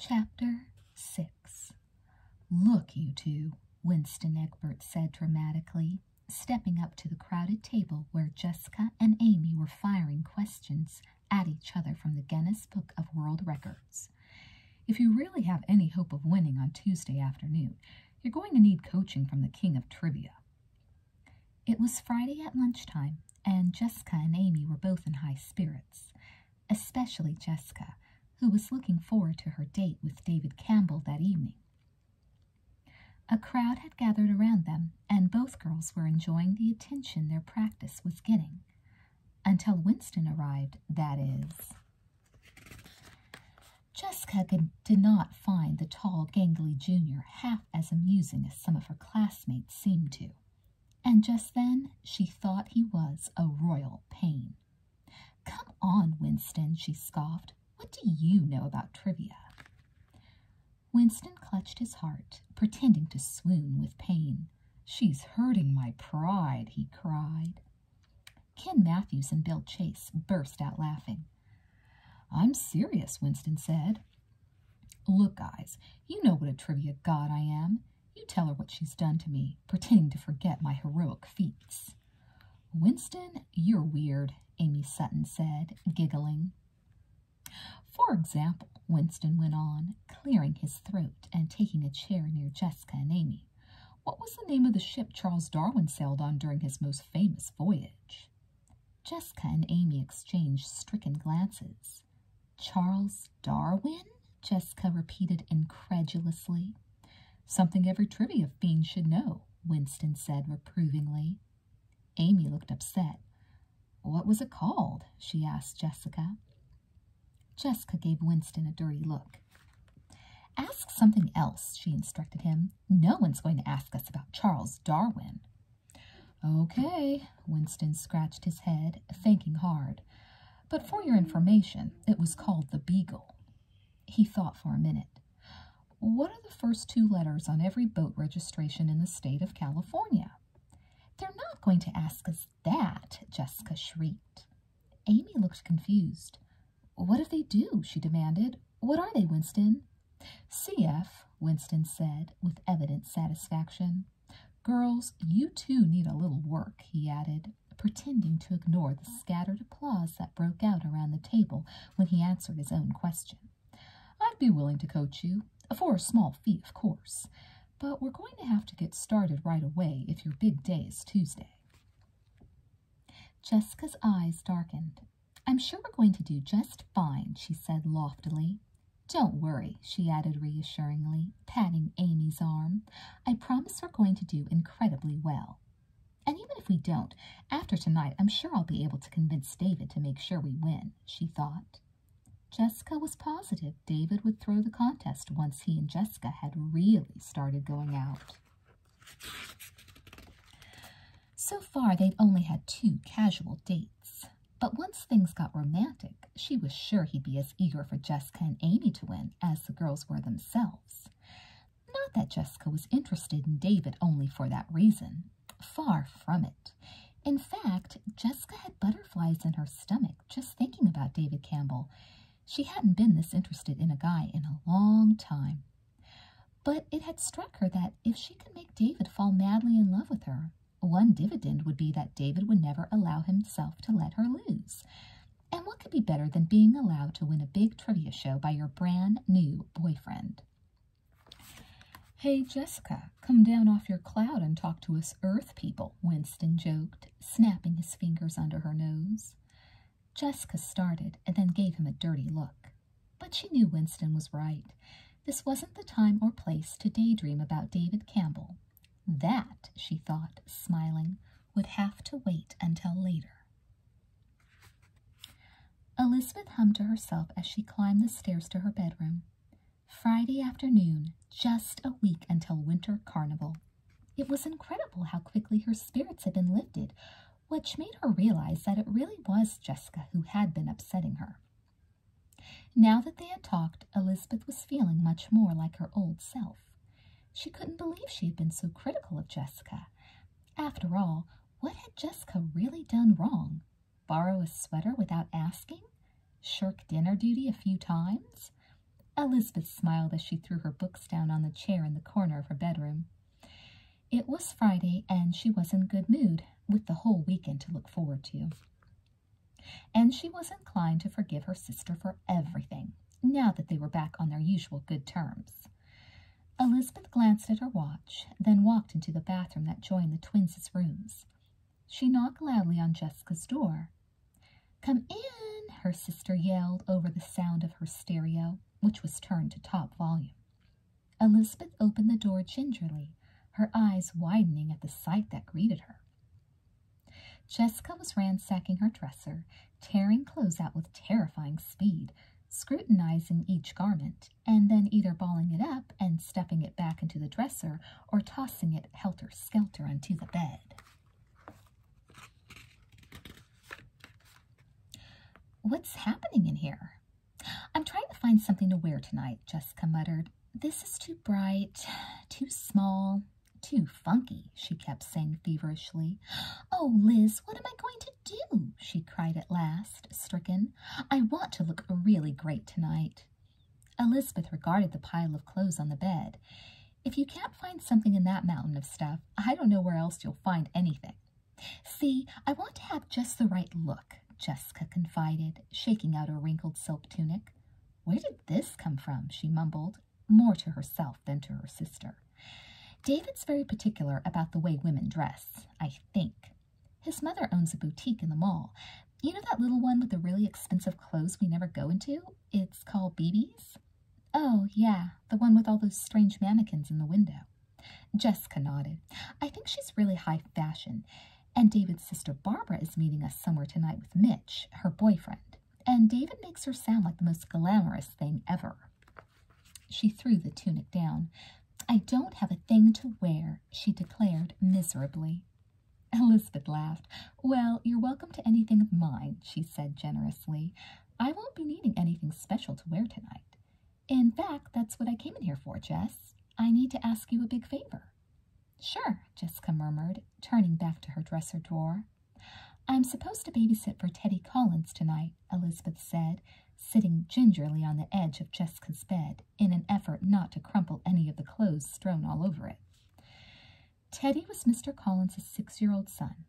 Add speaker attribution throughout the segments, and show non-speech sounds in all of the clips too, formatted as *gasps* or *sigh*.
Speaker 1: Chapter 6 Look, you two," Winston Egbert said dramatically, stepping up to the crowded table where Jessica and Amy were firing questions at each other from the Guinness Book of World Records. If you really have any hope of winning on Tuesday afternoon, you're going to need coaching from the king of trivia. It was Friday at lunchtime, and Jessica and Amy were both in high spirits, especially Jessica, who was looking forward to her date with David Campbell that evening. A crowd had gathered around them, and both girls were enjoying the attention their practice was getting. Until Winston arrived, that is. Jessica could did not find the tall, gangly junior half as amusing as some of her classmates seemed to, and just then she thought he was a royal pain. Come on, Winston, she scoffed. What do you know about trivia? Winston clutched his heart, pretending to swoon with pain. She's hurting my pride, he cried. Ken Matthews and Bill Chase burst out laughing. I'm serious, Winston said. Look, guys, you know what a trivia god I am. You tell her what she's done to me, pretending to forget my heroic feats. Winston, you're weird, Amy Sutton said, giggling. For example, Winston went on, clearing his throat and taking a chair near Jessica and Amy. What was the name of the ship Charles Darwin sailed on during his most famous voyage? Jessica and Amy exchanged stricken glances. Charles Darwin? Jessica repeated incredulously. Something every trivia fiend should know, Winston said reprovingly. Amy looked upset. What was it called? she asked Jessica. Jessica gave Winston a dirty look. Ask something else, she instructed him. No one's going to ask us about Charles Darwin. Okay, Winston scratched his head, thinking hard. But for your information, it was called the Beagle. He thought for a minute. What are the first two letters on every boat registration in the state of California? They're not going to ask us that, Jessica shrieked. Amy looked confused. What if they do? she demanded. What are they, Winston? CF, Winston said with evident satisfaction. Girls, you too need a little work, he added, pretending to ignore the scattered applause that broke out around the table when he answered his own question. I'd be willing to coach you, for a small fee, of course, but we're going to have to get started right away if your big day is Tuesday. Jessica's eyes darkened. I'm sure we're going to do just fine, she said loftily. Don't worry, she added reassuringly, patting Amy's arm. I promise we're going to do incredibly well. And even if we don't, after tonight, I'm sure I'll be able to convince David to make sure we win, she thought. Jessica was positive David would throw the contest once he and Jessica had really started going out. So far, they'd only had two casual dates. But once things got romantic, she was sure he'd be as eager for Jessica and Amy to win as the girls were themselves. Not that Jessica was interested in David only for that reason. Far from it. In fact, Jessica had butterflies in her stomach just thinking about David Campbell. She hadn't been this interested in a guy in a long time. But it had struck her that if she could make David fall madly in love with her, one dividend would be that David would never allow himself to let her lose. And what could be better than being allowed to win a big trivia show by your brand new boyfriend? Hey, Jessica, come down off your cloud and talk to us Earth people, Winston joked, snapping his fingers under her nose. Jessica started and then gave him a dirty look. But she knew Winston was right. This wasn't the time or place to daydream about David Campbell. That, she thought, smiling, would have to wait until later. Elizabeth hummed to herself as she climbed the stairs to her bedroom. Friday afternoon, just a week until Winter Carnival. It was incredible how quickly her spirits had been lifted which made her realize that it really was Jessica who had been upsetting her. Now that they had talked, Elizabeth was feeling much more like her old self. She couldn't believe she had been so critical of Jessica. After all, what had Jessica really done wrong? Borrow a sweater without asking? Shirk dinner duty a few times? Elizabeth smiled as she threw her books down on the chair in the corner of her bedroom. It was Friday, and she was in good mood, with the whole weekend to look forward to. And she was inclined to forgive her sister for everything, now that they were back on their usual good terms. Elizabeth glanced at her watch, then walked into the bathroom that joined the twins' rooms. She knocked loudly on Jessica's door. Come in, her sister yelled over the sound of her stereo, which was turned to top volume. Elizabeth opened the door gingerly, her eyes widening at the sight that greeted her. Jessica was ransacking her dresser, tearing clothes out with terrifying speed, scrutinizing each garment, and then either balling it up and stuffing it back into the dresser or tossing it helter skelter onto the bed. What's happening in here? I'm trying to find something to wear tonight, Jessica muttered. This is too bright, *sighs* too small, too funky, she kept saying feverishly. Oh, Liz, what am I going to do? she cried at last, stricken. I want to look really great tonight. Elizabeth regarded the pile of clothes on the bed. If you can't find something in that mountain of stuff, I don't know where else you'll find anything, See, I want to have just the right look, Jessica confided, shaking out her wrinkled silk tunic. Where did this come from? she mumbled, more to herself than to her sister. David's very particular about the way women dress, I think. His mother owns a boutique in the mall. You know that little one with the really expensive clothes we never go into? It's called BB's? Oh, yeah, the one with all those strange mannequins in the window. Jessica nodded. I think she's really high fashion. And David's sister Barbara is meeting us somewhere tonight with Mitch, her boyfriend. And David makes her sound like the most glamorous thing ever. She threw the tunic down. I don't have a thing to wear, she declared miserably. Elizabeth laughed. Well, you're welcome to anything of mine, she said generously. I won't be needing anything special to wear tonight. In fact, that's what I came in here for, Jess. I need to ask you a big favor. Sure, Jessica murmured, turning back to her dresser drawer. I'm supposed to babysit for Teddy Collins tonight, Elizabeth said, sitting gingerly on the edge of Jessica's bed in an effort not to crumple any of the clothes strewn all over it. Teddy was Mr. Collins's six-year-old son.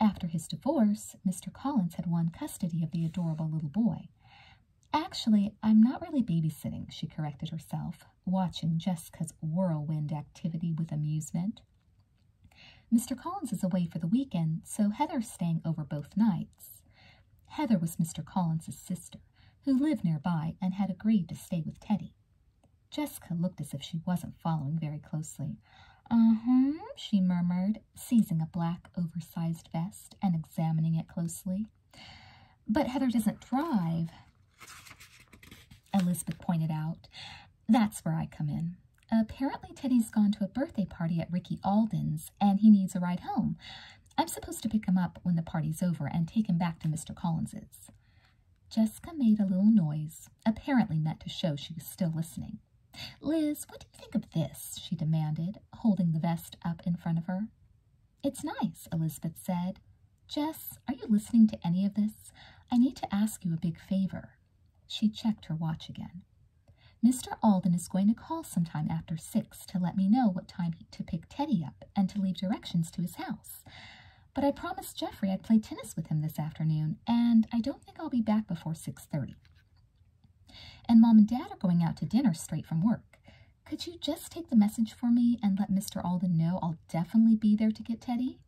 Speaker 1: After his divorce, Mr. Collins had won custody of the adorable little boy, Actually, I'm not really babysitting, she corrected herself, watching Jessica's whirlwind activity with amusement. Mr. Collins is away for the weekend, so Heather's staying over both nights. Heather was Mr. Collins's sister, who lived nearby and had agreed to stay with Teddy. Jessica looked as if she wasn't following very closely. Uh-huh, she murmured seizing a black, oversized vest and examining it closely. But Heather doesn't drive, Elizabeth pointed out. That's where I come in. Apparently, Teddy's gone to a birthday party at Ricky Alden's and he needs a ride home. I'm supposed to pick him up when the party's over and take him back to Mr. Collins's. Jessica made a little noise, apparently meant to show she was still listening. Liz, what do you think of this? she demanded, holding the vest up in front of her. It's nice, Elizabeth said. Jess, are you listening to any of this? I need to ask you a big favor. She checked her watch again. Mr. Alden is going to call sometime after six to let me know what time to pick Teddy up and to leave directions to his house. But I promised Jeffrey I'd play tennis with him this afternoon, and I don't think I'll be back before 6.30. And mom and dad are going out to dinner straight from work. Could you just take the message for me and let Mr. Alden know I'll definitely be there to get Teddy?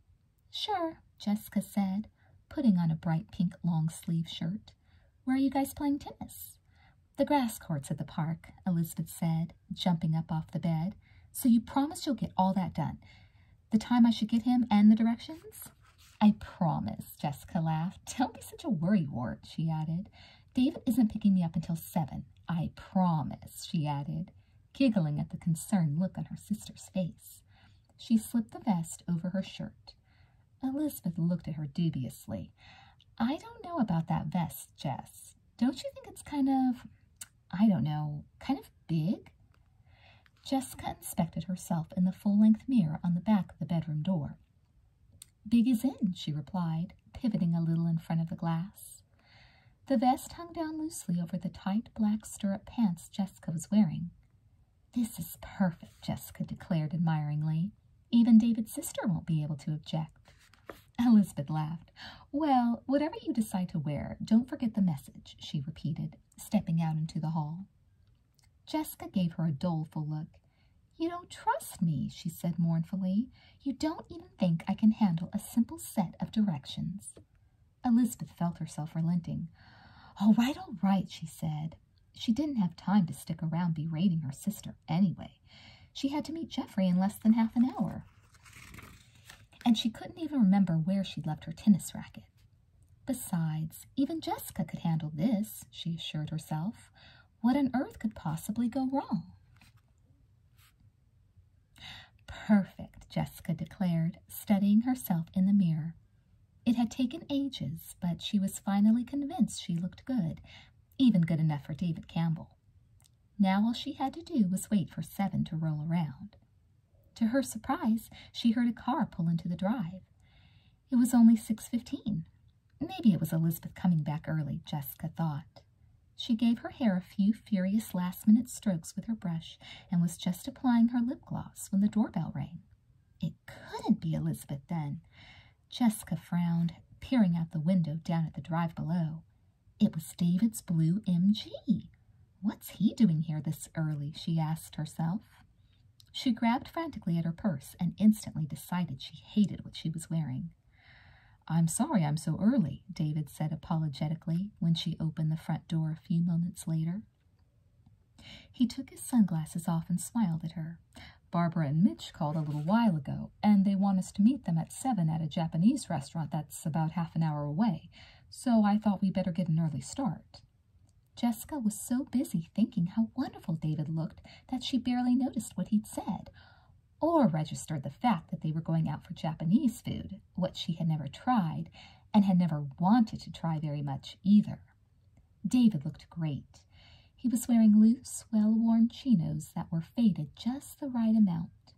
Speaker 1: Sure, Jessica said, putting on a bright pink long sleeve shirt. Where are you guys playing tennis? The grass courts at the park, Elizabeth said, jumping up off the bed. So you promise you'll get all that done. The time I should get him and the directions? I promise, Jessica laughed. Don't be such a worry wart," she added. David isn't picking me up until seven. I promise, she added, giggling at the concerned look on her sister's face. She slipped the vest over her shirt. Elizabeth looked at her dubiously. I don't know about that vest, Jess. Don't you think it's kind of, I don't know, kind of big? Jessica inspected herself in the full-length mirror on the back of the bedroom door. Big as in, she replied, pivoting a little in front of the glass. The vest hung down loosely over the tight black stirrup pants Jessica was wearing. This is perfect, Jessica declared admiringly. Even David's sister won't be able to object. Elizabeth laughed. Well, whatever you decide to wear, don't forget the message, she repeated, stepping out into the hall. Jessica gave her a doleful look. You don't trust me, she said mournfully. You don't even think I can handle a simple set of directions. Elizabeth felt herself relenting. All right, all right, she said. She didn't have time to stick around berating her sister anyway. She had to meet Jeffrey in less than half an hour. And she couldn't even remember where she'd left her tennis racket. Besides, even Jessica could handle this, she assured herself. What on earth could possibly go wrong? Perfect, Jessica declared, studying herself in the mirror. It had taken ages, but she was finally convinced she looked good, even good enough for David Campbell. Now all she had to do was wait for Seven to roll around. To her surprise, she heard a car pull into the drive. It was only 6.15, Maybe it was Elizabeth coming back early, Jessica thought. She gave her hair a few furious last-minute strokes with her brush and was just applying her lip gloss when the doorbell rang. It couldn't be Elizabeth then. Jessica frowned, peering out the window down at the drive below. It was David's blue MG. What's he doing here this early, she asked herself. She grabbed frantically at her purse and instantly decided she hated what she was wearing. I'm sorry I'm so early, David said apologetically when she opened the front door a few moments later. He took his sunglasses off and smiled at her. Barbara and Mitch called a little while ago, and they want us to meet them at seven at a Japanese restaurant that's about half an hour away, so I thought we better get an early start. Jessica was so busy thinking how wonderful David looked that she barely noticed what he'd said, or registered the fact that they were going out for Japanese food, which she had never tried and had never wanted to try very much either. David looked great. He was wearing loose, well worn chinos that were faded just the right amount.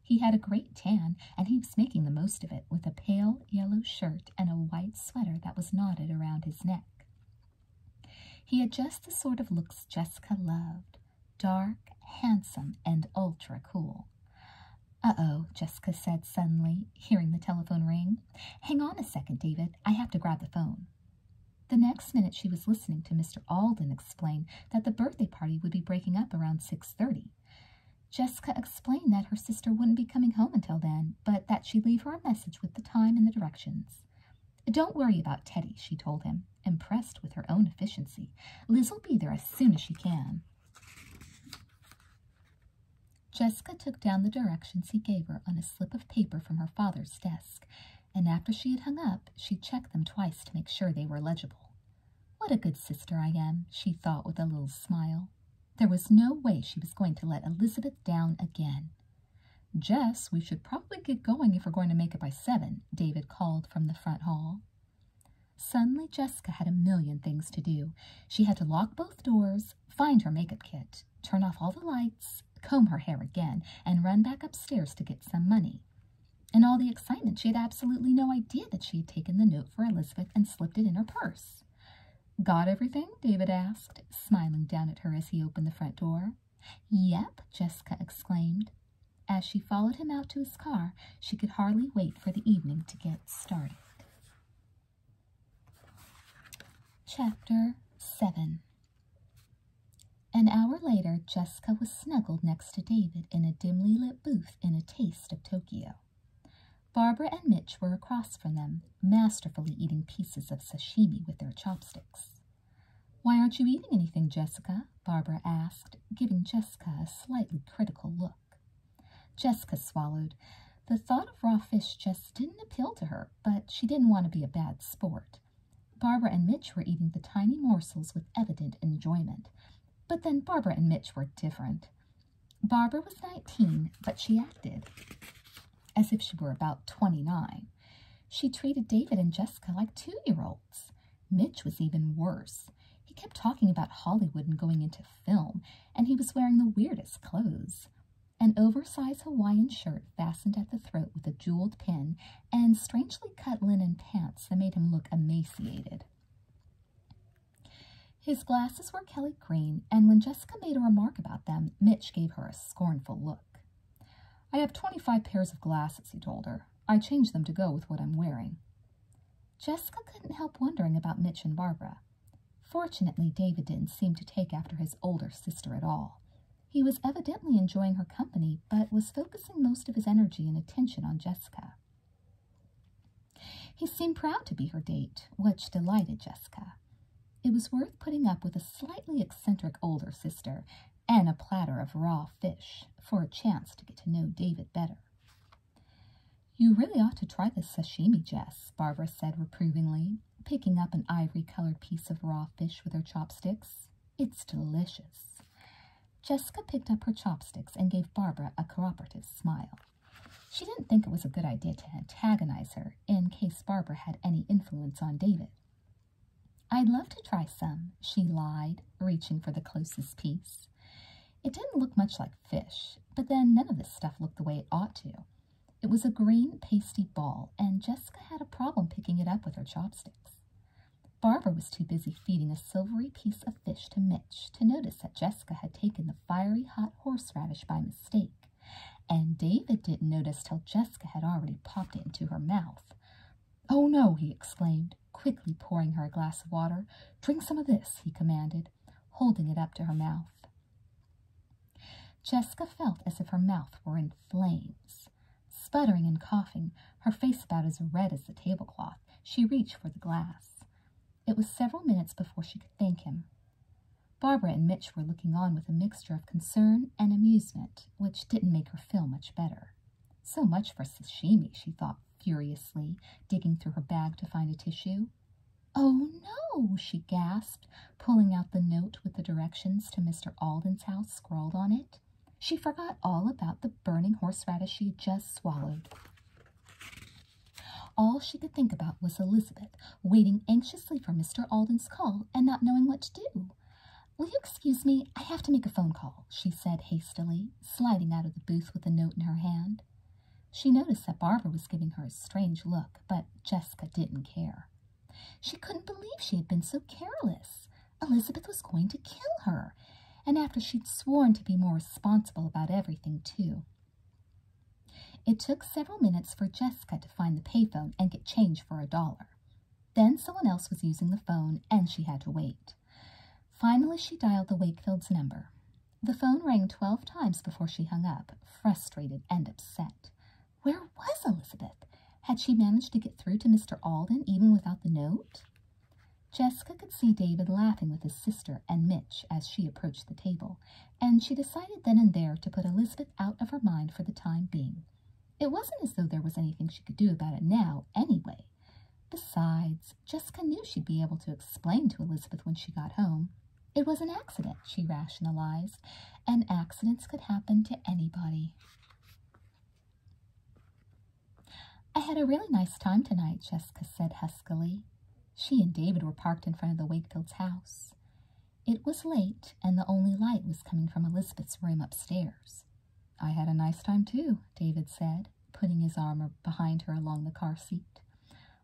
Speaker 1: He had a great tan, and he was making the most of it with a pale yellow shirt and a white sweater that was knotted around his neck. He had just the sort of looks Jessica loved dark, handsome, and ultra cool. Uh oh, Jessica said suddenly, hearing the telephone ring. Hang on a second, David. I have to grab the phone. The next minute she was listening to Mr. Alden explain that the birthday party would be breaking up around 6.30. Jessica explained that her sister wouldn't be coming home until then, but that she'd leave her a message with the time and the directions. Don't worry about Teddy, she told him, impressed with her own efficiency. Liz'll be there as soon as she can. Jessica took down the directions he gave her on a slip of paper from her father's desk, and after she had hung up, she checked them twice to make sure they were legible. What a good sister I am, she thought with a little smile. There was no way she was going to let Elizabeth down again. Jess, we should probably get going if we're going to make it by seven, David called from the front hall. Suddenly, Jessica had a million things to do. She had to lock both doors, find her makeup kit, turn off all the lights, comb her hair again, and run back upstairs to get some money. In all the excitement, she had absolutely no idea that she had taken the note for Elizabeth and slipped it in her purse. Got everything? David asked, smiling down at her as he opened the front door. Yep, Jessica exclaimed. As she followed him out to his car, she could hardly wait for the evening to get started. Chapter 7 An hour later, Jessica was snuggled next to David in a dimly lit booth in a taste of Tokyo. Barbara and Mitch were across from them, masterfully eating pieces of sashimi with their chopsticks. Why aren't you eating anything, Jessica? Barbara asked, giving Jessica a slightly critical look. Jessica swallowed. The thought of raw fish just didn't appeal to her, but she didn't want to be a bad sport. Barbara and Mitch were eating the tiny morsels with evident enjoyment. But then Barbara and Mitch were different. Barbara was 19, but she acted as if she were about 29. She treated David and Jessica like two year olds. Mitch was even worse. He kept talking about Hollywood and going into film, and he was wearing the weirdest clothes. An oversized Hawaiian shirt fastened at the throat with a jeweled pin, and strangely cut linen pants that made him look emaciated. His glasses were Kelly green, and when Jessica made a remark about them, Mitch gave her a scornful look. I have 25 pairs of glasses, he told her. I change them to go with what I'm wearing. Jessica couldn't help wondering about Mitch and Barbara. Fortunately, David didn't seem to take after his older sister at all. He was evidently enjoying her company, but was focusing most of his energy and attention on Jessica. He seemed proud to be her date, which delighted Jessica. It was worth putting up with a slightly eccentric older sister and a platter of raw fish for a chance to get to know David better. You really ought to try this sashimi, Jess, Barbara said reprovingly, picking up an ivory-colored piece of raw fish with her chopsticks. It's delicious. Jessica picked up her chopsticks and gave Barbara a cooperative smile. She didn't think it was a good idea to antagonize her, in case Barbara had any influence on David. I'd love to try some, she lied, reaching for the closest piece. It didn't look much like fish, but then none of this stuff looked the way it ought to. It was a green, pasty ball, and Jessica had a problem picking it up with her chopsticks. Barbara was too busy feeding a silvery piece of fish to Mitch to notice that Jessica had taken the fiery hot horseradish by mistake. And David didn't notice till Jessica had already popped it into her mouth. Oh no, he exclaimed, quickly pouring her a glass of water. Drink some of this, he commanded, holding it up to her mouth. Jessica felt as if her mouth were in flames. Sputtering and coughing, her face about as red as the tablecloth, she reached for the glass. It was several minutes before she could thank him, Barbara and Mitch were looking on with a mixture of concern and amusement, which didn't make her feel much better. So much for sashimi, she thought furiously, digging through her bag to find a tissue. Oh no, she gasped, pulling out the note with the directions to Mr. Alden's house scrawled on it. She forgot all about the burning horseradish she had just swallowed. All she could think about was Elizabeth waiting anxiously for Mr. Alden's call and not knowing what to do. Will you excuse me? I have to make a phone call, she said hastily, sliding out of the booth with the note in her hand. She noticed that Barbara was giving her a strange look, but Jessica didn't care. She couldn't believe she had been so careless. Elizabeth was going to kill her, and after she'd sworn to be more responsible about everything, too. It took several minutes for Jessica to find the payphone and get change for a dollar. Then someone else was using the phone and she had to wait. Finally, she dialed the Wakefields' number. The phone rang 12 times before she hung up, frustrated and upset. Where was Elizabeth? Had she managed to get through to Mr. Alden even without the note? Jessica could see David laughing with his sister and Mitch as she approached the table, and she decided then and there to put Elizabeth out of her mind for the time being. It wasn't as though there was anything she could do about it now, anyway. Besides, Jessica knew she'd be able to explain to Elizabeth when she got home. It was an accident, she rationalized, and accidents could happen to anybody. I had a really nice time tonight, Jessica said huskily. She and David were parked in front of the Wakefields' house. It was late, and the only light was coming from Elizabeth's room upstairs. I had a nice time, too, David said, putting his arm behind her along the car seat.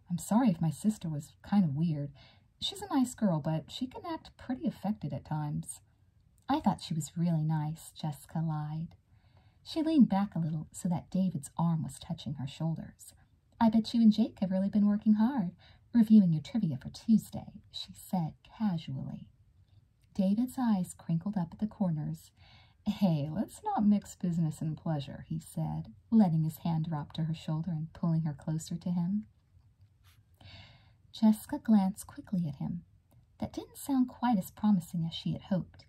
Speaker 1: I'm sorry if my sister was kind of weird. She's a nice girl, but she can act pretty affected at times. I thought she was really nice, Jessica lied. She leaned back a little so that David's arm was touching her shoulders. I bet you and Jake have really been working hard. Reviewing your trivia for Tuesday, she said casually. David's eyes crinkled up at the corners. Hey, let's not mix business and pleasure, he said, letting his hand drop to her shoulder and pulling her closer to him. Jessica glanced quickly at him. That didn't sound quite as promising as she had hoped.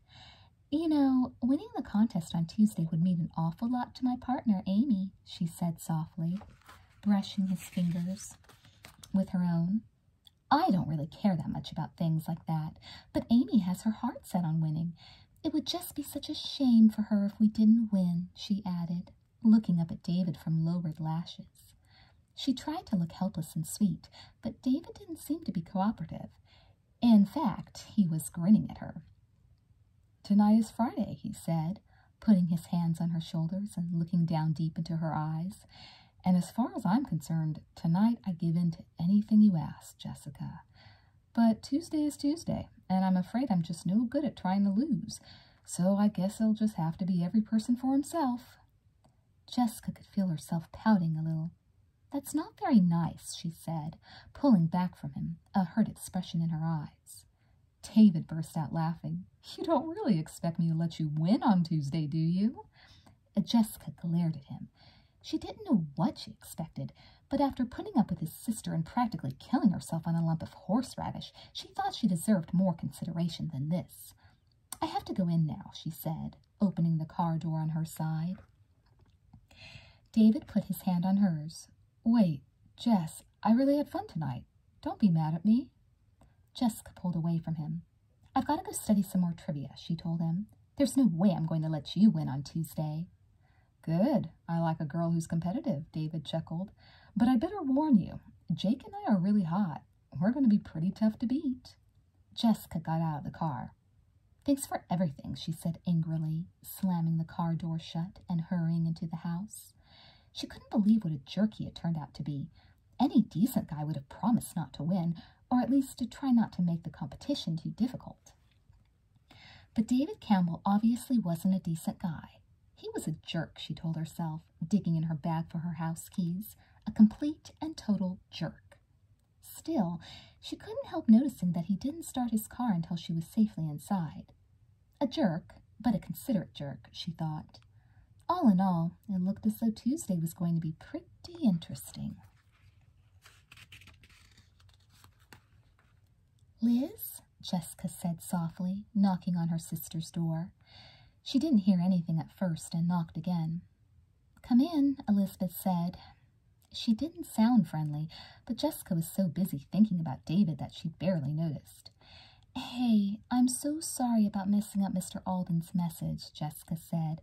Speaker 1: You know, winning the contest on Tuesday would mean an awful lot to my partner, Amy, she said softly brushing his fingers with her own. I don't really care that much about things like that, but Amy has her heart set on winning. It would just be such a shame for her if we didn't win, she added, looking up at David from lowered lashes. She tried to look helpless and sweet, but David didn't seem to be cooperative. In fact, he was grinning at her. Tonight is Friday, he said, putting his hands on her shoulders and looking down deep into her eyes. And as far as I'm concerned, tonight I give in to anything you ask, Jessica. But Tuesday is Tuesday, and I'm afraid I'm just no good at trying to lose, so I guess i will just have to be every person for himself. Jessica could feel herself pouting a little. That's not very nice, she said, pulling back from him, a hurt expression in her eyes. David burst out laughing. You don't really expect me to let you win on Tuesday, do you? Uh, Jessica glared at him. She didn't know what she expected, but after putting up with his sister and practically killing herself on a lump of horseradish, she thought she deserved more consideration than this. I have to go in now, she said, opening the car door on her side. David put his hand on hers. Wait, Jess, I really had fun tonight. Don't be mad at me. Jessica pulled away from him. I've got to go study some more trivia, she told him. There's no way I'm going to let you win on Tuesday. Good. I like a girl who's competitive, David chuckled. But I better warn you, Jake and I are really hot. We're going to be pretty tough to beat. Jessica got out of the car. Thanks for everything, she said angrily, slamming the car door shut and hurrying into the house. She couldn't believe what a jerky it turned out to be. Any decent guy would have promised not to win, or at least to try not to make the competition too difficult. But David Campbell obviously wasn't a decent guy. He was a jerk, she told herself, digging in her bag for her house keys. A complete and total jerk. Still, she couldn't help noticing that he didn't start his car until she was safely inside. A jerk, but a considerate jerk, she thought. All in all, it looked as though Tuesday was going to be pretty interesting. Liz, Jessica said softly, knocking on her sister's door. She didn't hear anything at first and knocked again. Come in, Elizabeth said. She didn't sound friendly, but Jessica was so busy thinking about David that she barely noticed. Hey, I'm so sorry about messing up Mr. Alden's message, Jessica said,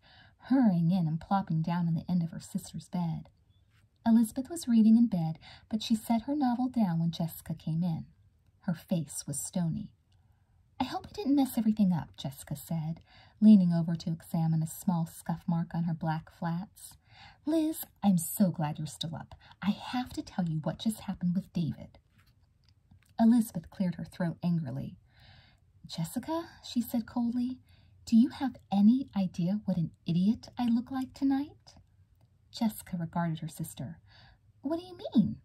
Speaker 1: hurrying in and plopping down on the end of her sister's bed. Elizabeth was reading in bed, but she set her novel down when Jessica came in. Her face was stony. I hope I didn't mess everything up, Jessica said, leaning over to examine a small scuff mark on her black flats. Liz, I'm so glad you're still up. I have to tell you what just happened with David. Elizabeth cleared her throat angrily. Jessica, she said coldly, do you have any idea what an idiot I look like tonight? Jessica regarded her sister. What do you mean?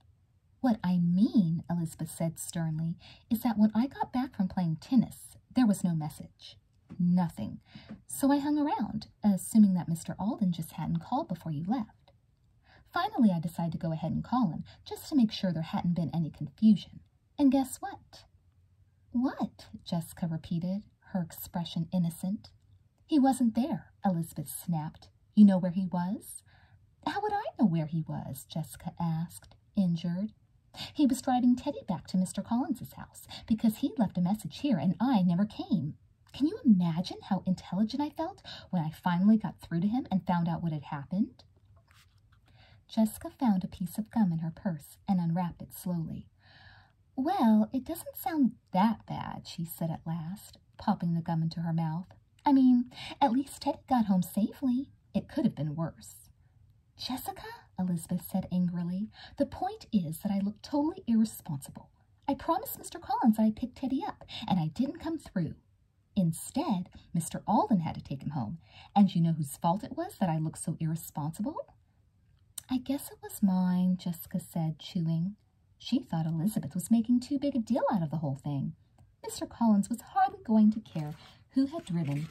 Speaker 1: What I mean, Elizabeth said sternly, is that when I got back from playing tennis, there was no message. Nothing. So I hung around assuming that Mr. Alden just hadn't called before you left. Finally, I decided to go ahead and call him, just to make sure there hadn't been any confusion. And guess what? What? Jessica repeated, her expression innocent. He wasn't there, Elizabeth snapped. You know where he was? How would I know where he was? Jessica asked, injured. He was driving Teddy back to Mr. Collins's house because he left a message here and I never came. Can you imagine how intelligent I felt when I finally got through to him and found out what had happened? Jessica found a piece of gum in her purse and unwrapped it slowly. Well, it doesn't sound that bad, she said at last, popping the gum into her mouth. I mean, at least Ted got home safely. It could have been worse. Jessica, Elizabeth said angrily, the point is that I look totally irresponsible. I promised Mr. Collins I'd pick Teddy up, and I didn't come through. Instead, Mr. Alden had to take him home, and you know whose fault it was that I looked so irresponsible? I guess it was mine, Jessica said, chewing. She thought Elizabeth was making too big a deal out of the whole thing. Mr. Collins was hardly going to care who had driven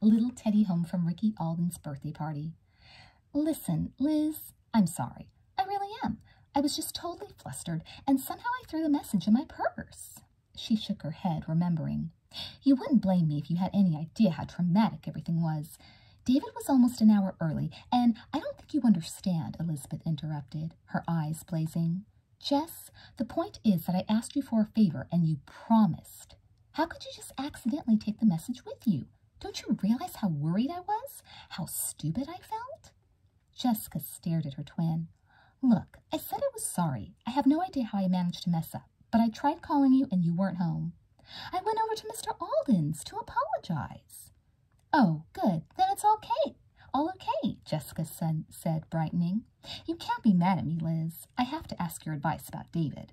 Speaker 1: little Teddy home from Ricky Alden's birthday party. Listen, Liz, I'm sorry. I really am. I was just totally flustered, and somehow I threw the message in my purse. She shook her head, remembering. You wouldn't blame me if you had any idea how traumatic everything was. David was almost an hour early, and I don't think you understand, Elizabeth interrupted, her eyes blazing. Jess, the point is that I asked you for a favor, and you promised. How could you just accidentally take the message with you? Don't you realize how worried I was? How stupid I felt? Jessica stared at her twin. Look, I said I was sorry. I have no idea how I managed to mess up, but I tried calling you and you weren't home. I went over to Mr. Alden's to apologize. Oh, good. Then it's all okay. All okay, Jessica said, said, brightening. You can't be mad at me, Liz. I have to ask your advice about David.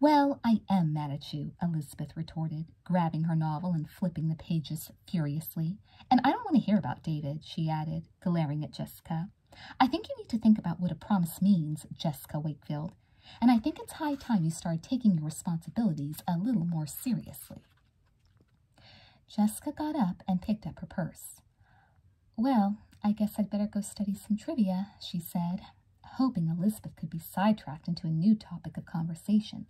Speaker 1: Well, I am mad at you, Elizabeth retorted grabbing her novel and flipping the pages furiously. And I don't want to hear about David, she added, glaring at Jessica. I think you need to think about what a promise means, Jessica Wakefield, and I think it's high time you started taking your responsibilities a little more seriously. Jessica got up and picked up her purse. Well, I guess I'd better go study some trivia, she said, hoping Elizabeth could be sidetracked into a new topic of conversation,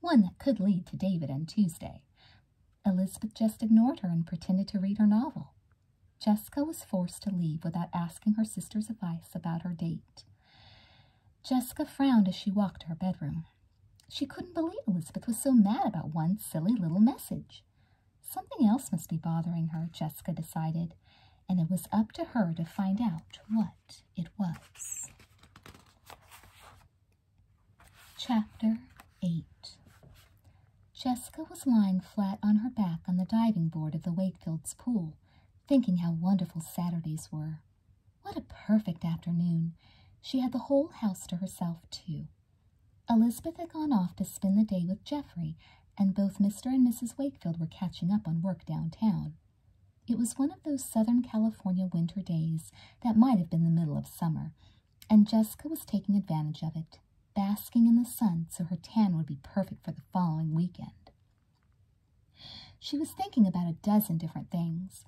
Speaker 1: one that could lead to David and Tuesday. Elizabeth just ignored her and pretended to read her novel. Jessica was forced to leave without asking her sister's advice about her date. Jessica frowned as she walked to her bedroom. She couldn't believe Elizabeth was so mad about one silly little message. Something else must be bothering her, Jessica decided, and it was up to her to find out what it was. Chapter 8 Jessica was lying flat on her back on the diving board of the Wakefields pool, thinking how wonderful Saturdays were. What a perfect afternoon! She had the whole house to herself, too. Elizabeth had gone off to spend the day with Geoffrey, and both Mr. and Mrs. Wakefield were catching up on work downtown. It was one of those Southern California winter days that might have been the middle of summer, and Jessica was taking advantage of it, basking in the sun so her tan would be perfect for the following weekend. She was thinking about a dozen different things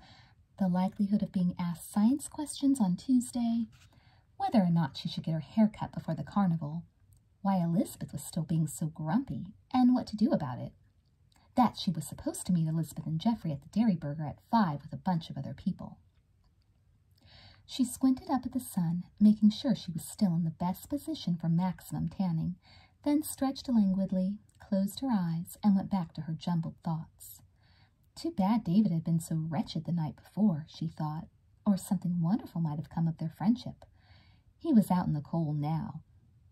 Speaker 1: the likelihood of being asked science questions on Tuesday, whether or not she should get her hair cut before the carnival, why Elizabeth was still being so grumpy, and what to do about it. That she was supposed to meet Elizabeth and Geoffrey at the Dairyburger at five with a bunch of other people. She squinted up at the sun, making sure she was still in the best position for maximum tanning, then stretched languidly, closed her eyes, and went back to her jumbled thoughts. Too bad David had been so wretched the night before, she thought, or something wonderful might have come of their friendship. He was out in the cold now.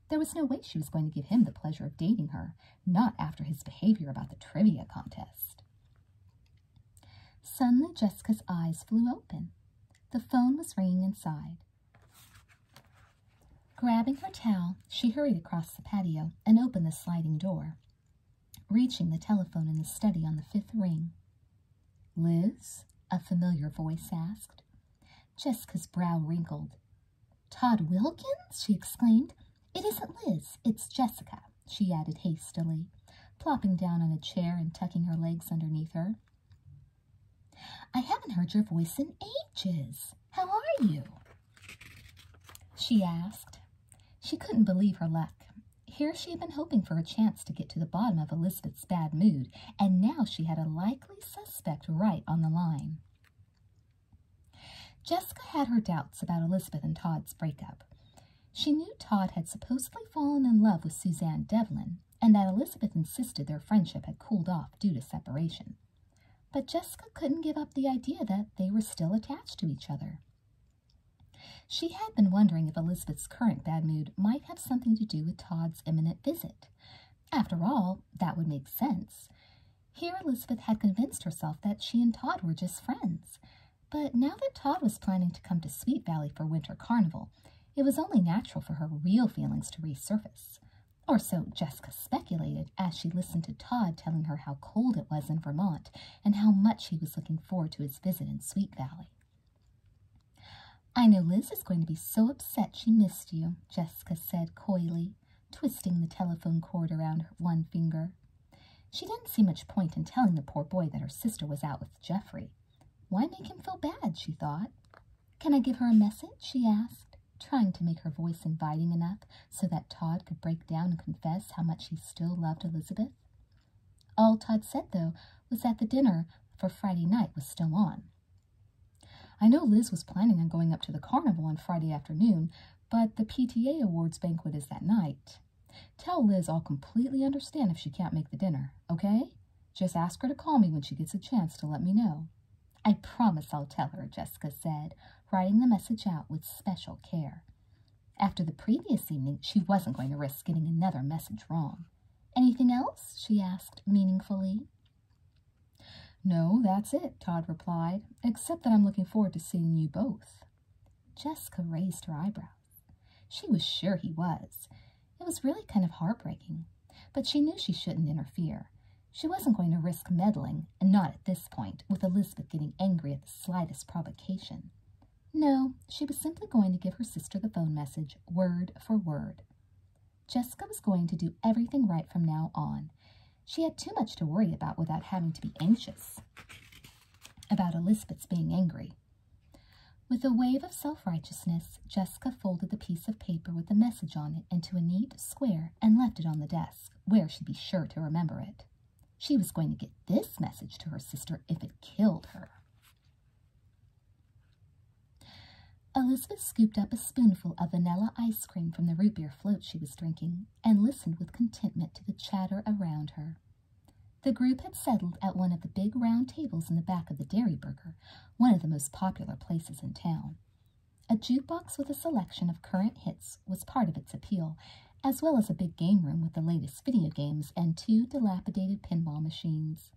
Speaker 1: There was no way she was going to give him the pleasure of dating her, not after his behavior about the trivia contest. Suddenly, Jessica's eyes flew open. The phone was ringing inside. Grabbing her towel, she hurried across the patio and opened the sliding door, reaching the telephone in the study on the fifth ring. Liz? A familiar voice asked. Jessica's brow wrinkled. Todd Wilkins? she exclaimed. It isn't Liz, it's Jessica, she added hastily, plopping down on a chair and tucking her legs underneath her. I haven't heard your voice in ages. How are you? She asked. She couldn't believe her luck. Here she had been hoping for a chance to get to the bottom of Elizabeth's bad mood, and now she had a likely suspect right on the line. Jessica had her doubts about Elizabeth and Todd's breakup. She knew Todd had supposedly fallen in love with Suzanne Devlin and that Elizabeth insisted their friendship had cooled off due to separation. But Jessica couldn't give up the idea that they were still attached to each other. She had been wondering if Elizabeth's current bad mood might have something to do with Todd's imminent visit, after all, that would make sense. Here Elizabeth had convinced herself that she and Todd were just friends. But now that Todd was planning to come to Sweet Valley for Winter Carnival, it was only natural for her real feelings to resurface. Or so Jessica speculated as she listened to Todd telling her how cold it was in Vermont and how much he was looking forward to his visit in Sweet Valley. I know Liz is going to be so upset she missed you, Jessica said coyly twisting the telephone cord around her one finger. She didn't see much point in telling the poor boy that her sister was out with Geoffrey. Why make him feel bad, she thought. Can I give her a message, she asked, trying to make her voice inviting enough so that Todd could break down and confess how much he still loved Elizabeth. All Todd said, though, was that the dinner for Friday night was still on, I know Liz was planning on going up to the carnival on Friday afternoon, but the PTA awards banquet is that night. Tell Liz I'll completely understand if she can't make the dinner, okay? Just ask her to call me when she gets a chance to let me know. I promise I'll tell her, Jessica said, writing the message out with special care. After the previous evening, she wasn't going to risk getting another message wrong. Anything else? she asked meaningfully. No, that's it, Todd replied, except that I'm looking forward to seeing you both. Jessica raised her eyebrows. She was sure he was. It was really kind of heartbreaking, but she knew she shouldn't interfere. She wasn't going to risk meddling, and not at this point, with Elizabeth getting angry at the slightest provocation. No, she was simply going to give her sister the phone message, word for word. Jessica was going to do everything right from now on. She had too much to worry about without having to be anxious about Elizabeth's being angry. With a wave of self-righteousness, Jessica folded the piece of paper with the message on it into a neat square and left it on the desk, where she'd be sure to remember it. She was going to get this message to her sister if it killed her. Elizabeth scooped up a spoonful of vanilla ice cream from the root beer float she was drinking and listened with contentment to the chatter around her. The group had settled at one of the big round tables in the back of the Dairy Burger, one of the most popular places in town. A jukebox with a selection of current hits was part of its appeal, as well as a big game room with the latest video games and two dilapidated pinball machines.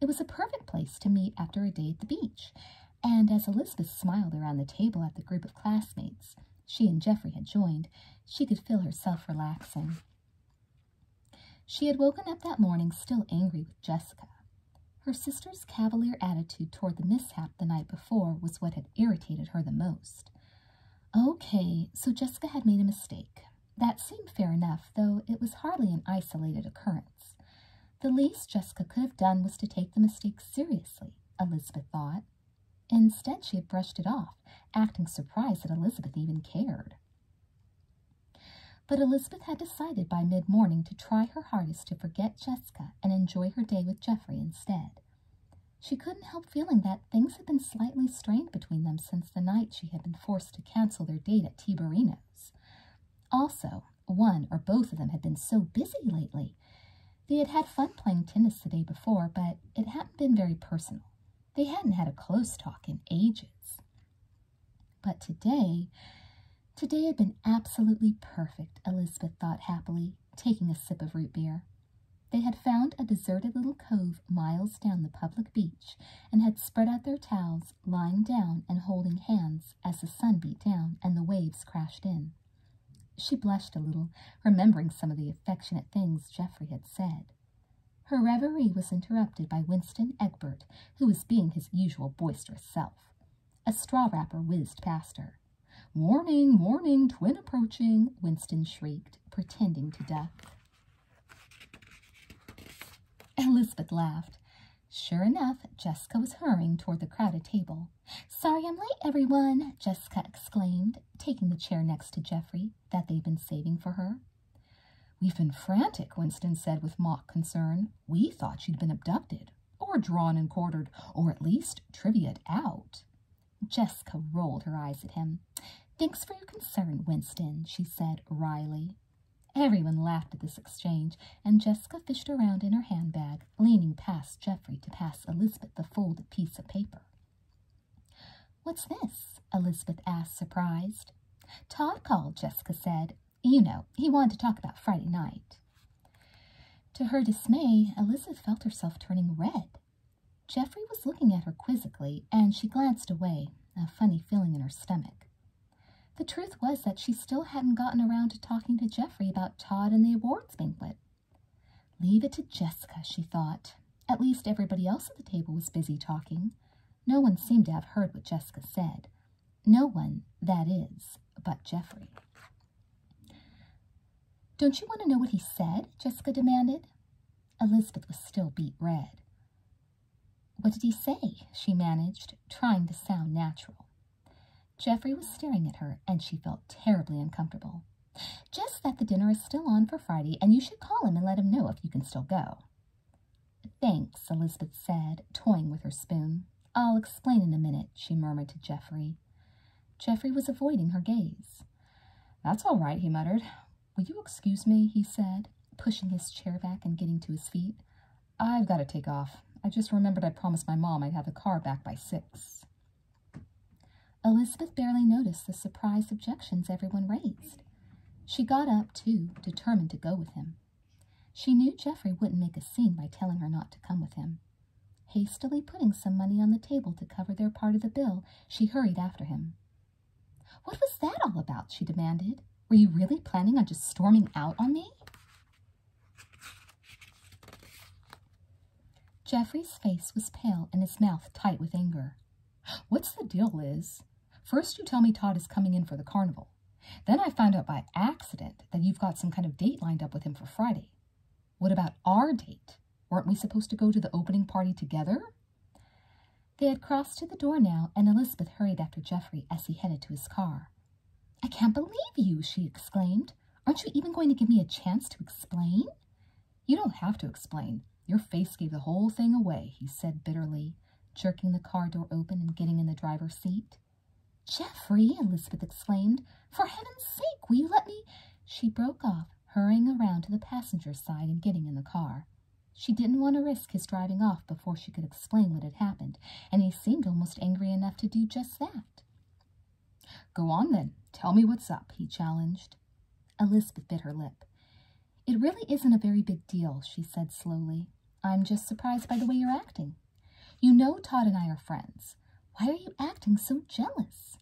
Speaker 1: It was a perfect place to meet after a day at the beach, and as Elizabeth smiled around the table at the group of classmates she and Geoffrey had joined, she could feel herself relaxing. She had woken up that morning still angry with Jessica. Her sister's cavalier attitude toward the mishap the night before was what had irritated her the most. Okay, so Jessica had made a mistake. That seemed fair enough, though it was hardly an isolated occurrence. The least Jessica could have done was to take the mistake seriously, Elizabeth thought. Instead, she had brushed it off, acting surprised that Elizabeth even cared. But Elizabeth had decided by mid morning to try her hardest to forget Jessica and enjoy her day with Geoffrey instead. She couldn't help feeling that things had been slightly strained between them since the night she had been forced to cancel their date at Tiberino's. Also, one or both of them had been so busy lately. They had had fun playing tennis the day before, but it hadn't been very personal. They hadn't had a close talk in ages. But today, today had been absolutely perfect, Elizabeth thought happily, taking a sip of root beer. They had found a deserted little cove miles down the public beach and had spread out their towels lying down and holding hands as the sun beat down and the waves crashed in. She blushed a little, remembering some of the affectionate things Geoffrey had said. Her reverie was interrupted by Winston Egbert, who was being his usual boisterous self. A straw wrapper whizzed past her. Warning, warning, twin approaching, Winston shrieked, pretending to duck. Elizabeth laughed. Sure enough, Jessica was hurrying toward the crowded table. Sorry I'm late, everyone, Jessica exclaimed, taking the chair next to Jeffrey that they'd been saving for her. We've been frantic, Winston said with mock concern. We thought she had been abducted, or drawn and quartered, or at least trivia out. Jessica rolled her eyes at him. Thanks for your concern, Winston, she said wryly. Everyone laughed at this exchange, and Jessica fished around in her handbag, leaning past Geoffrey to pass Elizabeth the folded piece of paper. What's this? Elizabeth asked, surprised. Todd called, Jessica said. You know, he wanted to talk about Friday night. To her dismay, Elizabeth felt herself turning red. Geoffrey was looking at her quizzically, and she glanced away, a funny feeling in her stomach. The truth was that she still hadn't gotten around to talking to Jeffrey about Todd and the awards banquet. Leave it to Jessica, she thought. At least everybody else at the table was busy talking. No one seemed to have heard what Jessica said. No one, that is, but Jeffrey. Don't you want to know what he said? Jessica demanded. Elizabeth was still beet red. What did he say? She managed, trying to sound natural. Geoffrey was staring at her, and she felt terribly uncomfortable. Just that the dinner is still on for Friday, and you should call him and let him know if you can still go. Thanks, Elizabeth said, toying with her spoon. I'll explain in a minute, she murmured to Geoffrey. Geoffrey was avoiding her gaze. That's all right, he muttered. Will you excuse me, he said, pushing his chair back and getting to his feet. I've got to take off. I just remembered I promised my mom I'd have the car back by six. Elizabeth barely noticed the surprised objections everyone raised. She got up, too, determined to go with him. She knew Geoffrey wouldn't make a scene by telling her not to come with him. Hastily putting some money on the table to cover their part of the bill, she hurried after him. What was that all about? she demanded. Were you really planning on just storming out on me? Geoffrey's face was pale and his mouth tight with anger. *gasps* What's the deal, Liz? First you tell me Todd is coming in for the carnival. Then I find out by accident that you've got some kind of date lined up with him for Friday. What about our date? Weren't we supposed to go to the opening party together? They had crossed to the door now, and Elizabeth hurried after Geoffrey as he headed to his car. I can't believe you, she exclaimed. Aren't you even going to give me a chance to explain? You don't have to explain. Your face gave the whole thing away, he said bitterly, jerking the car door open and getting in the driver's seat. Geoffrey, Elizabeth exclaimed, for heaven's sake, will you let me? She broke off, hurrying around to the passenger's side and getting in the car. She didn't want to risk his driving off before she could explain what had happened and he seemed almost angry enough to do just that. Go on then, tell me what's up, he challenged. Elizabeth bit her lip. It really isn't a very big deal, she said slowly. I'm just surprised by the way you're acting. You know Todd and I are friends. Why are you acting so jealous?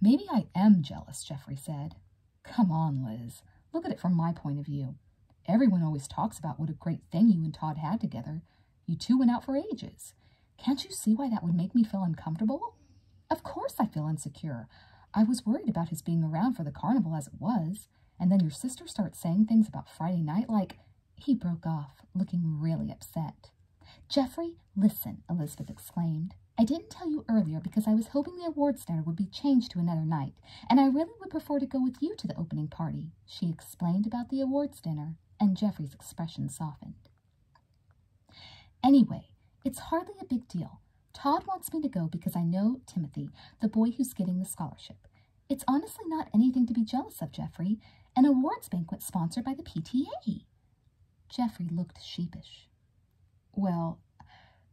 Speaker 1: Maybe I am jealous, Jeffrey said. Come on, Liz. Look at it from my point of view. Everyone always talks about what a great thing you and Todd had together, you two went out for ages. Can't you see why that would make me feel uncomfortable? Of course I feel insecure. I was worried about his being around for the carnival as it was. And then your sister starts saying things about Friday night like, he broke off, looking really upset. Jeffrey, listen, Elizabeth exclaimed. I didn't tell you earlier because I was hoping the awards dinner would be changed to another night, and I really would prefer to go with you to the opening party, she explained about the awards dinner and Geoffrey's expression softened. Anyway, it's hardly a big deal. Todd wants me to go because I know Timothy, the boy who's getting the scholarship. It's honestly not anything to be jealous of, Geoffrey. An awards banquet sponsored by the PTA. Geoffrey looked sheepish. Well,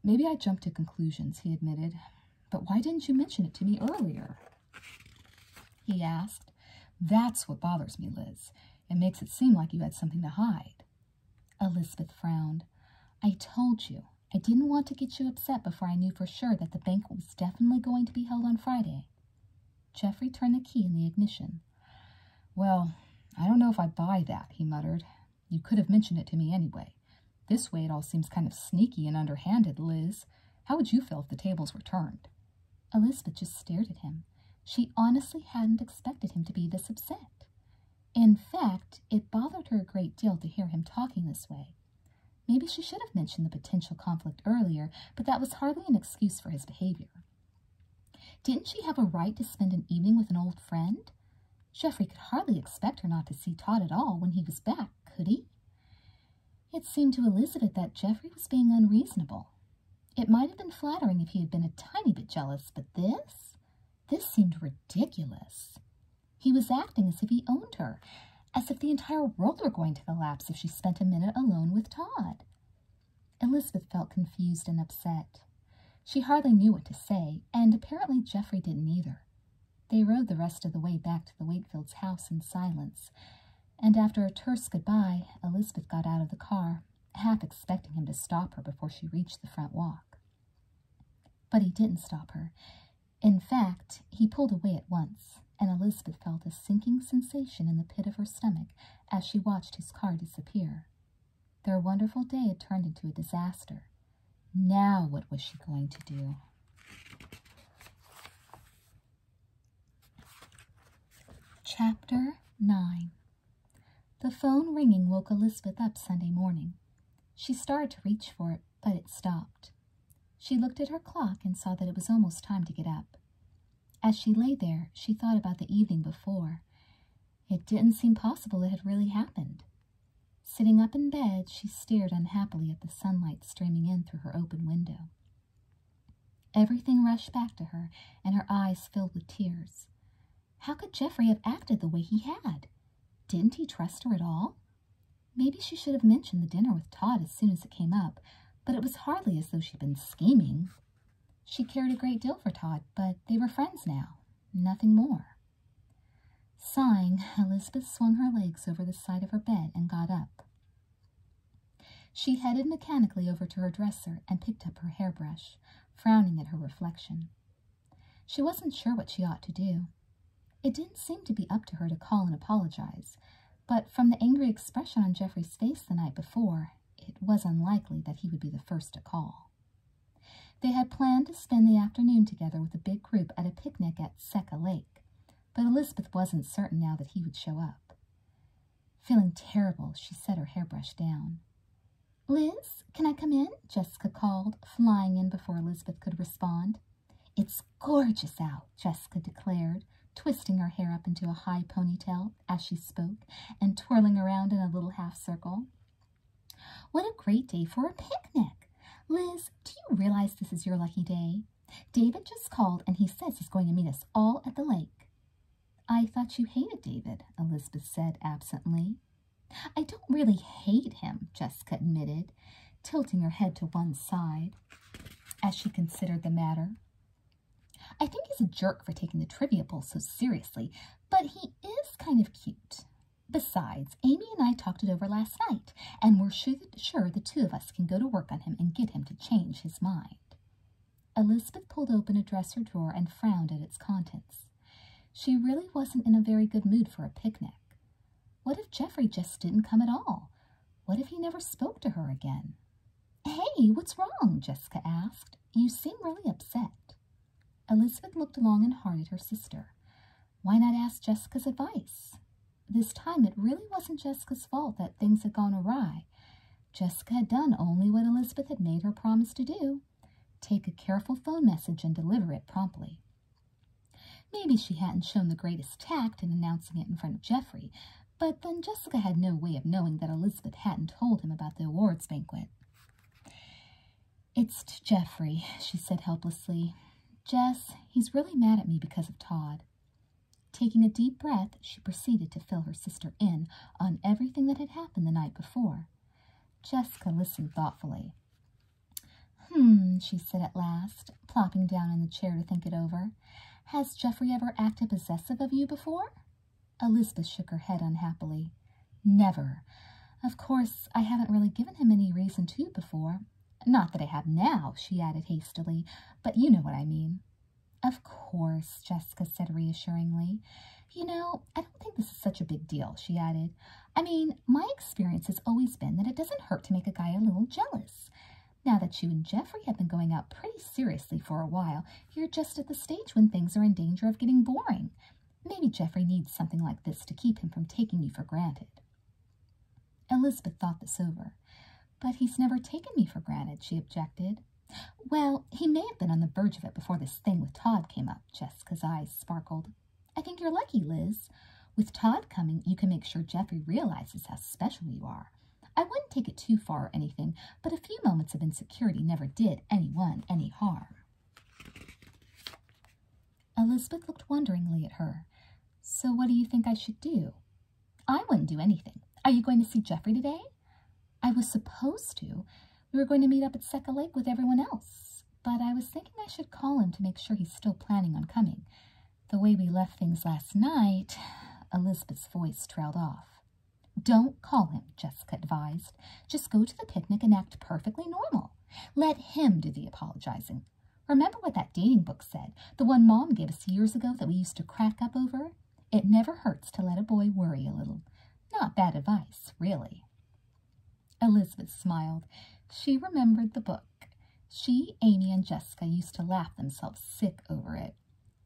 Speaker 1: maybe I jumped to conclusions, he admitted. But why didn't you mention it to me earlier? he asked. That's what bothers me, Liz. It makes it seem like you had something to hide. Elizabeth frowned. I told you. I didn't want to get you upset before I knew for sure that the bank was definitely going to be held on Friday. Geoffrey turned the key in the ignition. Well, I don't know if I buy that, he muttered. You could have mentioned it to me anyway. This way it all seems kind of sneaky and underhanded, Liz. How would you feel if the tables were turned? Elizabeth just stared at him. She honestly hadn't expected him to be this upset. In fact, it bothered her a great deal to hear him talking this way. Maybe she should have mentioned the potential conflict earlier, but that was hardly an excuse for his behavior. Didn't she have a right to spend an evening with an old friend? Geoffrey could hardly expect her not to see Todd at all when he was back, could he? It seemed to Elizabeth that Geoffrey was being unreasonable. It might have been flattering if he had been a tiny bit jealous, but this? This seemed ridiculous. He was acting as if he owned her, as if the entire world were going to collapse if she spent a minute alone with Todd. Elizabeth felt confused and upset. She hardly knew what to say, and apparently Geoffrey didn't either. They rode the rest of the way back to the Wakefields' house in silence, and after a terse goodbye, Elizabeth got out of the car, half expecting him to stop her before she reached the front walk. But he didn't stop her. In fact, he pulled away at once, and Elizabeth felt a sinking sensation in the pit of her stomach as she watched his car disappear. Their wonderful day had turned into a disaster. Now, what was she going to do? Chapter 9 The phone ringing woke Elizabeth up Sunday morning. She started to reach for it, but it stopped. She looked at her clock and saw that it was almost time to get up. As she lay there, she thought about the evening before. It didn't seem possible it had really happened. Sitting up in bed, she stared unhappily at the sunlight streaming in through her open window. Everything rushed back to her, and her eyes filled with tears. How could Geoffrey have acted the way he had? Didn't he trust her at all? Maybe she should have mentioned the dinner with Todd as soon as it came up, but it was hardly as though she'd been scheming. She cared a great deal for Todd, but they were friends now, nothing more. Sighing, Elizabeth swung her legs over the side of her bed and got up. She headed mechanically over to her dresser and picked up her hairbrush, frowning at her reflection. She wasn't sure what she ought to do. It didn't seem to be up to her to call and apologize, but from the angry expression on Jeffrey's face the night before, it was unlikely that he would be the first to call. They had planned to spend the afternoon together with a big group at a picnic at Seca Lake, but Elizabeth wasn't certain now that he would show up. Feeling terrible, she set her hairbrush down. Liz, can I come in? Jessica called, flying in before Elizabeth could respond. It's gorgeous out, Jessica declared, twisting her hair up into a high ponytail as she spoke and twirling around in a little half circle. What a great day for a picnic! Liz, do you realize this is your lucky day? David just called and he says he's going to meet us all at the lake. I thought you hated David, Elizabeth said absently. I don't really hate him, Jessica admitted, tilting her head to one side as she considered the matter. I think he's a jerk for taking the trivia bowl so seriously, but he is kind of cute. Besides, Amy and I talked it over last night and we're sure the two of us can go to work on him and get him to change his mind. Elizabeth pulled open a dresser drawer and frowned at its contents. She really wasn't in a very good mood for a picnic. What if Geoffrey just didn't come at all? What if he never spoke to her again? Hey, what's wrong? Jessica asked. You seem really upset. Elizabeth looked long and hard at her sister. Why not ask Jessica's advice? This time it really wasn't Jessica's fault that things had gone awry. Jessica had done only what Elizabeth had made her promise to do take a careful phone message and deliver it promptly. Maybe she hadn't shown the greatest tact in announcing it in front of Geoffrey, but then Jessica had no way of knowing that Elizabeth hadn't told him about the awards banquet. It's to Geoffrey, she said helplessly. Jess, he's really mad at me because of Todd. Taking a deep breath, she proceeded to fill her sister in on everything that had happened the night before. Jessica listened thoughtfully. Hmm, she said at last, plopping down in the chair to think it over. Has Geoffrey ever acted possessive of you before? Elizabeth shook her head unhappily. Never. Of course, I haven't really given him any reason to before. Not that I have now, she added hastily, but you know what I mean. Of course, Jessica said reassuringly. You know, I don't think this is such a big deal, she added. I mean, my experience has always been that it doesn't hurt to make a guy a little jealous. Now that you and Jeffrey have been going out pretty seriously for a while, you're just at the stage when things are in danger of getting boring. Maybe Jeffrey needs something like this to keep him from taking you for granted. Elizabeth thought this over. But he's never taken me for granted, she objected. Well, he may have been on the verge of it before this thing with Todd came up, Jessica's eyes sparkled. I think you're lucky, Liz. With Todd coming, you can make sure Jeffrey realizes how special you are. I wouldn't take it too far or anything, but a few moments of insecurity never did anyone any harm. Elizabeth looked wonderingly at her. So what do you think I should do? I wouldn't do anything. Are you going to see Jeffrey today? I was supposed to. We were going to meet up at Seca Lake with everyone else, but I was thinking I should call him to make sure he's still planning on coming. The way we left things last night, Elizabeth's voice trailed off. Don't call him, Jessica advised. Just go to the picnic and act perfectly normal. Let him do the apologizing. Remember what that dating book said, the one Mom gave us years ago that we used to crack up over? It never hurts to let a boy worry a little. Not bad advice, really. Elizabeth smiled. She remembered the book. She, Amy, and Jessica used to laugh themselves sick over it.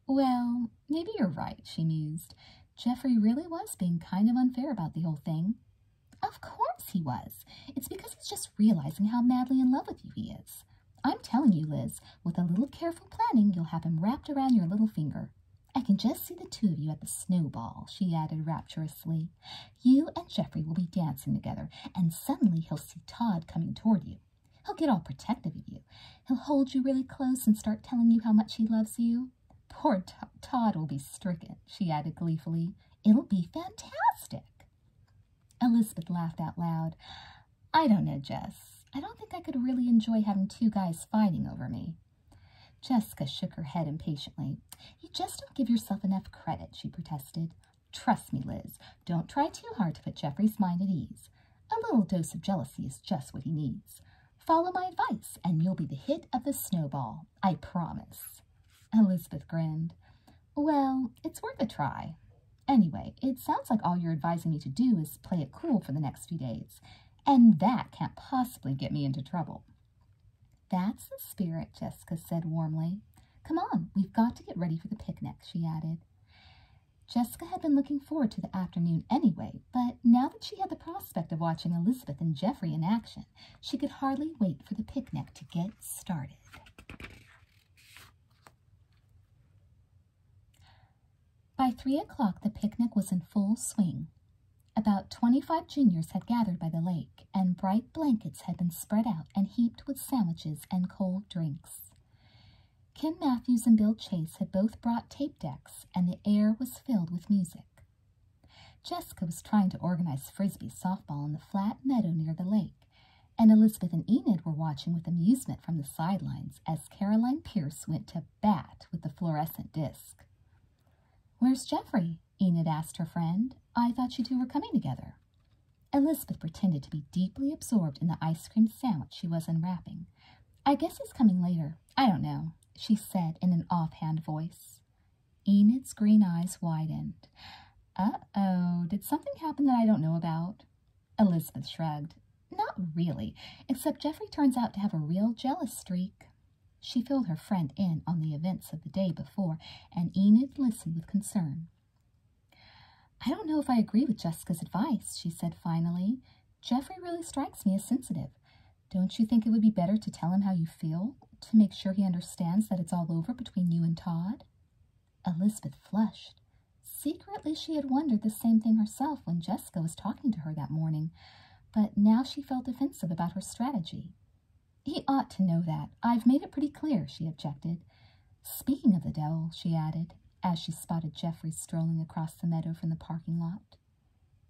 Speaker 1: Well, maybe you're right, she mused. Jeffrey really was being kind of unfair about the whole thing. Of course he was. It's because he's just realizing how madly in love with you he is. I'm telling you, Liz, with a little careful planning, you'll have him wrapped around your little finger. I can just see the two of you at the snowball, she added rapturously. You and Jeffrey will be dancing together, and suddenly he'll see Todd coming toward you. He'll get all protective of you. He'll hold you really close and start telling you how much he loves you. Poor Todd will be stricken, she added gleefully. It'll be fantastic. Elizabeth laughed out loud. I don't know, Jess. I don't think I could really enjoy having two guys fighting over me. Jessica shook her head impatiently. You just don't give yourself enough credit, she protested. Trust me, Liz, don't try too hard to put Jeffrey's mind at ease. A little dose of jealousy is just what he needs. Follow my advice, and you'll be the hit of the snowball, I promise. Elizabeth grinned. Well, it's worth a try. Anyway, it sounds like all you're advising me to do is play it cool for the next few days, and that can't possibly get me into trouble. That's the spirit, Jessica said warmly. Come on, we've got to get ready for the picnic, she added. Jessica had been looking forward to the afternoon anyway, but now that she had the prospect of watching Elizabeth and Geoffrey in action, she could hardly wait for the picnic to get started. By three o'clock, the picnic was in full swing. About twenty five juniors had gathered by the lake, and bright blankets had been spread out and heaped with sandwiches and cold drinks. Ken Matthews and Bill Chase had both brought tape decks, and the air was filled with music. Jessica was trying to organize frisbee softball in the flat meadow near the lake and Elizabeth and Enid were watching with amusement from the sidelines as Caroline Pierce went to bat with the fluorescent disc. Where's Geoffrey? Enid asked her friend. I thought you two were coming together. Elizabeth pretended to be deeply absorbed in the ice cream sandwich she was unwrapping. I guess he's coming later. I don't know, she said in an offhand voice. Enid's green eyes widened. Uh-oh, did something happen that I don't know about? Elizabeth shrugged. Not really, except Geoffrey turns out to have a real jealous streak. She filled her friend in on the events of the day before, and Enid listened with concern. I don't know if I agree with Jessica's advice, she said finally. Geoffrey really strikes me as sensitive. Don't you think it would be better to tell him how you feel, to make sure he understands that it's all over between you and Todd? Elizabeth flushed. Secretly, she had wondered the same thing herself when Jessica was talking to her that morning, but now she felt defensive about her strategy. He ought to know that. I've made it pretty clear, she objected. Speaking of the devil, she added, as she spotted Geoffrey strolling across the meadow from the parking lot.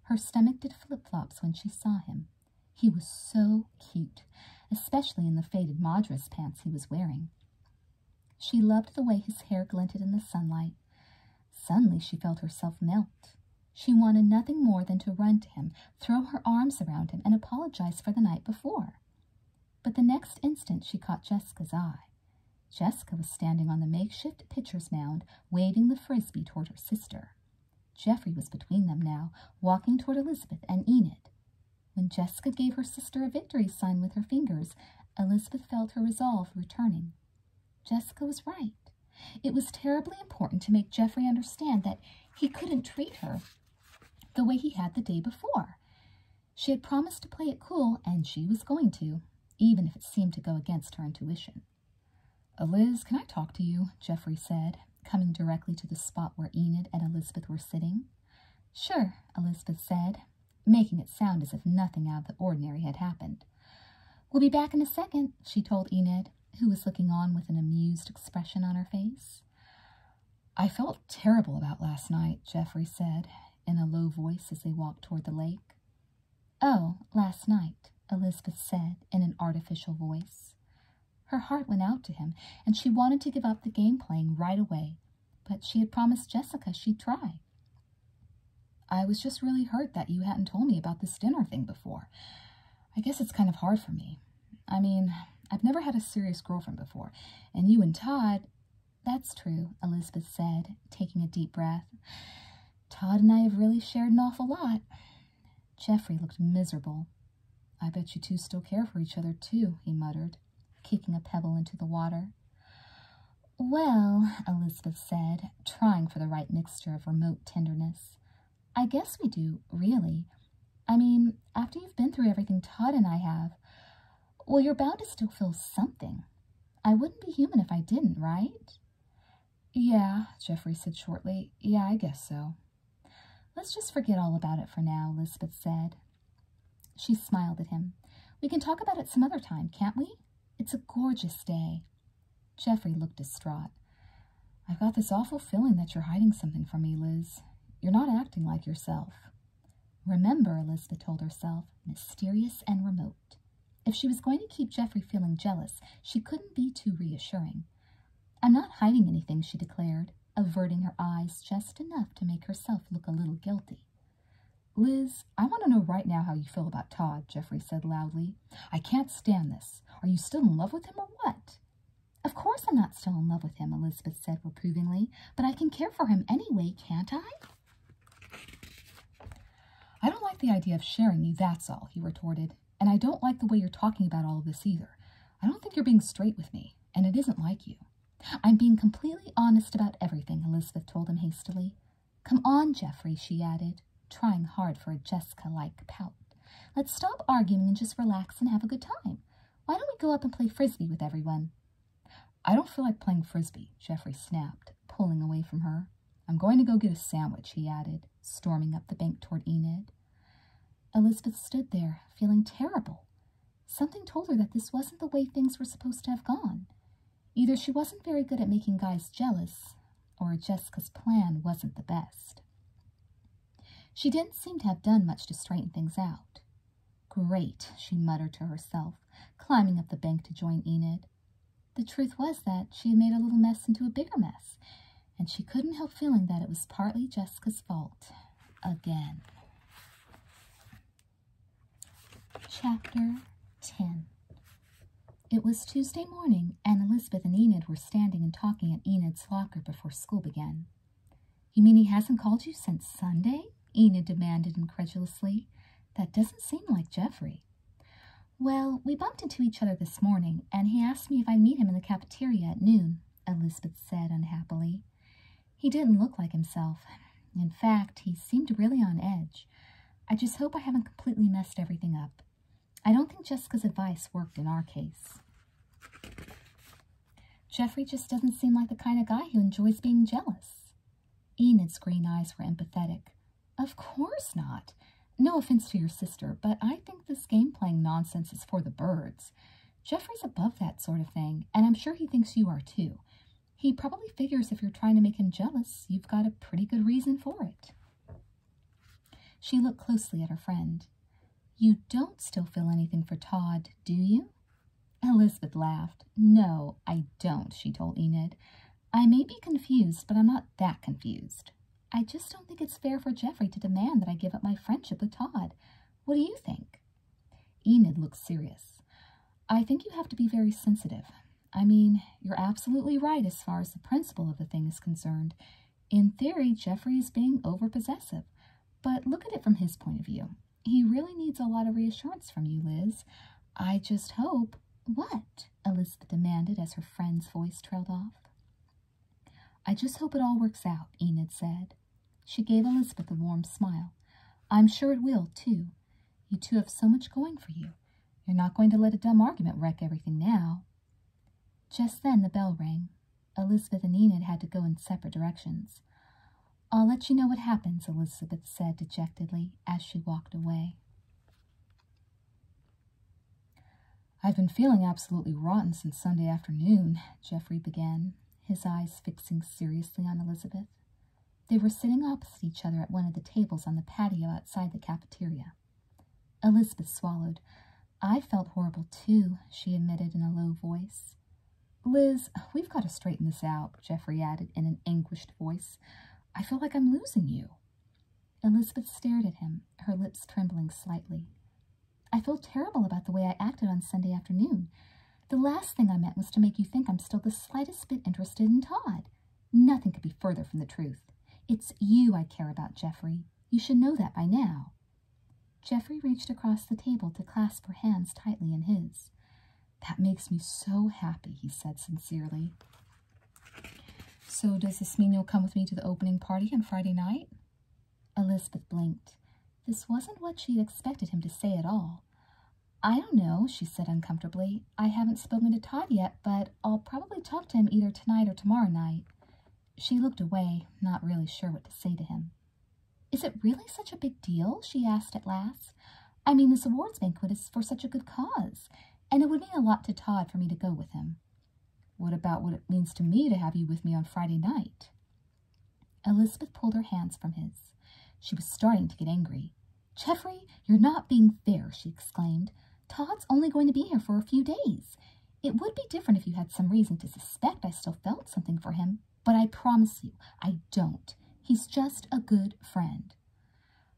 Speaker 1: Her stomach did flip-flops when she saw him. He was so cute, especially in the faded Madras pants he was wearing. She loved the way his hair glinted in the sunlight. Suddenly she felt herself melt. She wanted nothing more than to run to him, throw her arms around him, and apologize for the night before. But the next instant she caught Jessica's eye. Jessica was standing on the makeshift pitcher's mound, waving the frisbee toward her sister. Geoffrey was between them now, walking toward Elizabeth and Enid. When Jessica gave her sister a victory sign with her fingers, Elizabeth felt her resolve returning. Jessica was right. It was terribly important to make Geoffrey understand that he couldn't treat her the way he had the day before. She had promised to play it cool, and she was going to, even if it seemed to go against her intuition. Eliz, can I talk to you? Geoffrey said, coming directly to the spot where Enid and Elizabeth were sitting. Sure, Elizabeth said, making it sound as if nothing out of the ordinary had happened. We'll be back in a second, she told Enid, who was looking on with an amused expression on her face. I felt terrible about last night, Geoffrey said, in a low voice as they walked toward the lake. Oh, last night, Elizabeth said in an artificial voice. Her heart went out to him, and she wanted to give up the game playing right away but she had promised Jessica she'd try. I was just really hurt that you hadn't told me about this dinner thing before. I guess it's kind of hard for me. I mean, I've never had a serious girlfriend before, and you and Todd... That's true, Elizabeth said, taking a deep breath. Todd and I have really shared an awful lot. Geoffrey looked miserable. I bet you two still care for each other, too, he muttered kicking a pebble into the water. Well, Elizabeth said, trying for the right mixture of remote tenderness, I guess we do, really. I mean, after you've been through everything Todd and I have, well, you're bound to still feel something. I wouldn't be human if I didn't, right? Yeah, Jeffrey said shortly. Yeah, I guess so. Let's just forget all about it for now, Elizabeth said. She smiled at him. We can talk about it some other time, can't we? It's a gorgeous day. Geoffrey looked distraught. I've got this awful feeling that you're hiding something from me, Liz. You're not acting like yourself. Remember, Elizabeth told herself, mysterious and remote. If she was going to keep Geoffrey feeling jealous, she couldn't be too reassuring. I'm not hiding anything, she declared averting her eyes just enough to make herself look a little guilty. Liz, I want to know right now how you feel about Todd, Jeffrey said loudly. I can't stand this. Are you still in love with him or what? Of course I'm not still in love with him, Elizabeth said reprovingly, but I can care for him anyway, can't I? I don't like the idea of sharing you, that's all, he retorted, and I don't like the way you're talking about all this either. I don't think you're being straight with me, and it isn't like you. I'm being completely honest about everything, Elizabeth told him hastily. Come on, Geoffrey, she added, trying hard for a Jessica-like pout. Let's stop arguing and just relax and have a good time. Why don't we go up and play frisbee with everyone? I don't feel like playing frisbee, Geoffrey snapped, pulling away from her. I'm going to go get a sandwich, he added, storming up the bank toward Enid. Elizabeth stood there, feeling terrible. Something told her that this wasn't the way things were supposed to have gone. Either she wasn't very good at making guys jealous, or Jessica's plan wasn't the best. She didn't seem to have done much to straighten things out. Great, she muttered to herself, climbing up the bank to join Enid. The truth was that she had made a little mess into a bigger mess, and she couldn't help feeling that it was partly Jessica's fault. Again. Chapter 10 It was Tuesday morning, and Elizabeth and Enid were standing and talking at Enid's locker before school began. You mean he hasn't called you since Sunday? Enid demanded incredulously. That doesn't seem like Geoffrey. Well, we bumped into each other this morning, and he asked me if I'd meet him in the cafeteria at noon, Elizabeth said unhappily. He didn't look like himself. In fact, he seemed really on edge. I just hope I haven't completely messed everything up. I don't think Jessica's advice worked in our case. Jeffrey just doesn't seem like the kind of guy who enjoys being jealous. Enid's green eyes were empathetic. Of course not. No offense to your sister, but I think this game playing nonsense is for the birds. Jeffrey's above that sort of thing, and I'm sure he thinks you are too. He probably figures if you're trying to make him jealous, you've got a pretty good reason for it. She looked closely at her friend. You don't still feel anything for Todd, do you? Elizabeth laughed. No, I don't, she told Enid. I may be confused, but I'm not that confused. I just don't think it's fair for Jeffrey to demand that I give up my friendship with Todd. What do you think? Enid looked serious. I think you have to be very sensitive. I mean, you're absolutely right as far as the principle of the thing is concerned. In theory, Jeffrey is being overpossessive, but look at it from his point of view. He really needs a lot of reassurance from you, Liz. I just hope... What? Elizabeth demanded as her friend's voice trailed off. I just hope it all works out, Enid said, she gave Elizabeth a warm smile. I'm sure it will, too. You two have so much going for you. You're not going to let a dumb argument wreck everything now. Just then the bell rang. Elizabeth and Enid had to go in separate directions. I'll let you know what happens, Elizabeth said dejectedly as she walked away. I've been feeling absolutely rotten since Sunday afternoon, Geoffrey began his eyes fixing seriously on Elizabeth. They were sitting opposite each other at one of the tables on the patio outside the cafeteria. Elizabeth swallowed. I felt horrible too, she admitted in a low voice. Liz, we've got to straighten this out, Geoffrey added in an anguished voice. I feel like I'm losing you. Elizabeth stared at him, her lips trembling slightly. I feel terrible about the way I acted on Sunday afternoon. The last thing I meant was to make you think I'm still the slightest bit interested in Todd. Nothing could be further from the truth. It's you I care about, Geoffrey. You should know that by now. Geoffrey reached across the table to clasp her hands tightly in his. That makes me so happy, he said sincerely. So does this mean you'll come with me to the opening party on Friday night? Elizabeth blinked. This wasn't what she had expected him to say at all. I don't know, she said uncomfortably. I haven't spoken to Todd yet, but I'll probably talk to him either tonight or tomorrow night. She looked away, not really sure what to say to him. Is it really such a big deal? she asked at last. I mean, this awards banquet is for such a good cause, and it would mean a lot to Todd for me to go with him. What about what it means to me to have you with me on Friday night? Elizabeth pulled her hands from his. She was starting to get angry. Geoffrey, you're not being fair, she exclaimed. Todd's only going to be here for a few days. It would be different if you had some reason to suspect I still felt something for him, but I promise you, I don't. He's just a good friend.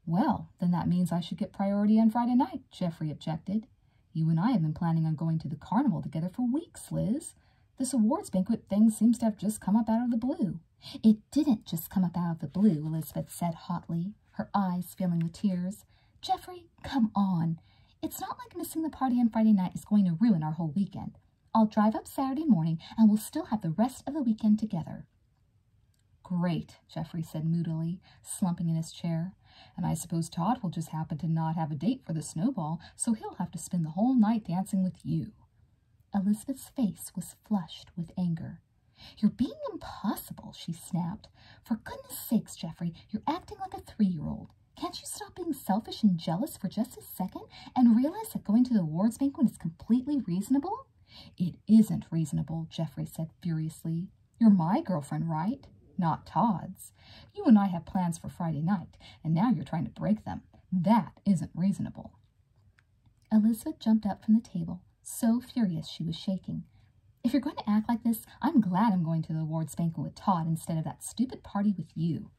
Speaker 1: Well, then that means I should get priority on Friday night, Geoffrey objected. You and I have been planning on going to the carnival together for weeks, Liz. This awards banquet thing seems to have just come up out of the blue. It didn't just come up out of the blue, Elizabeth said hotly, her eyes filling with tears. Geoffrey, come on. It's not like missing the party on Friday night is going to ruin our whole weekend. I'll drive up Saturday morning and we'll still have the rest of the weekend together. Great, Geoffrey said moodily, slumping in his chair. And I suppose Todd will just happen to not have a date for the snowball, so he'll have to spend the whole night dancing with you. Elizabeth's face was flushed with anger. You're being impossible, she snapped. For goodness sakes, Geoffrey, you're acting like a three-year-old. Can't you stop being selfish and jealous for just a second and realize that going to the awards banquet is completely reasonable? It isn't reasonable, Geoffrey said furiously. You're my girlfriend, right? Not Todd's. You and I have plans for Friday night, and now you're trying to break them. That isn't reasonable. Elizabeth jumped up from the table, so furious she was shaking. If you're going to act like this, I'm glad I'm going to the ward, banquet with Todd instead of that stupid party with you.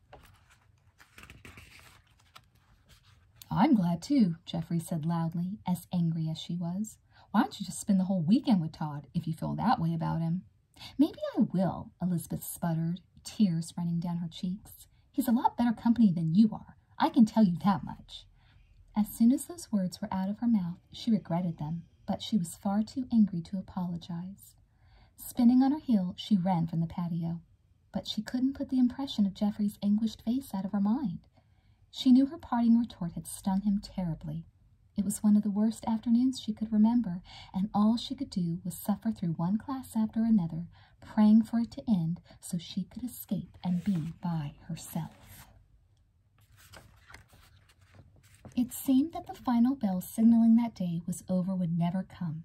Speaker 1: I'm glad too, Jeffrey said loudly, as angry as she was. Why don't you just spend the whole weekend with Todd if you feel that way about him? Maybe I will, Elizabeth sputtered, tears running down her cheeks he's a lot better company than you are. I can tell you that much. As soon as those words were out of her mouth, she regretted them, but she was far too angry to apologize. Spinning on her heel, she ran from the patio, but she couldn't put the impression of Geoffrey's anguished face out of her mind. She knew her parting retort had stung him terribly. It was one of the worst afternoons she could remember, and all she could do was suffer through one class after another praying for it to end so she could escape and be by herself. It seemed that the final bell signaling that day was over would never come,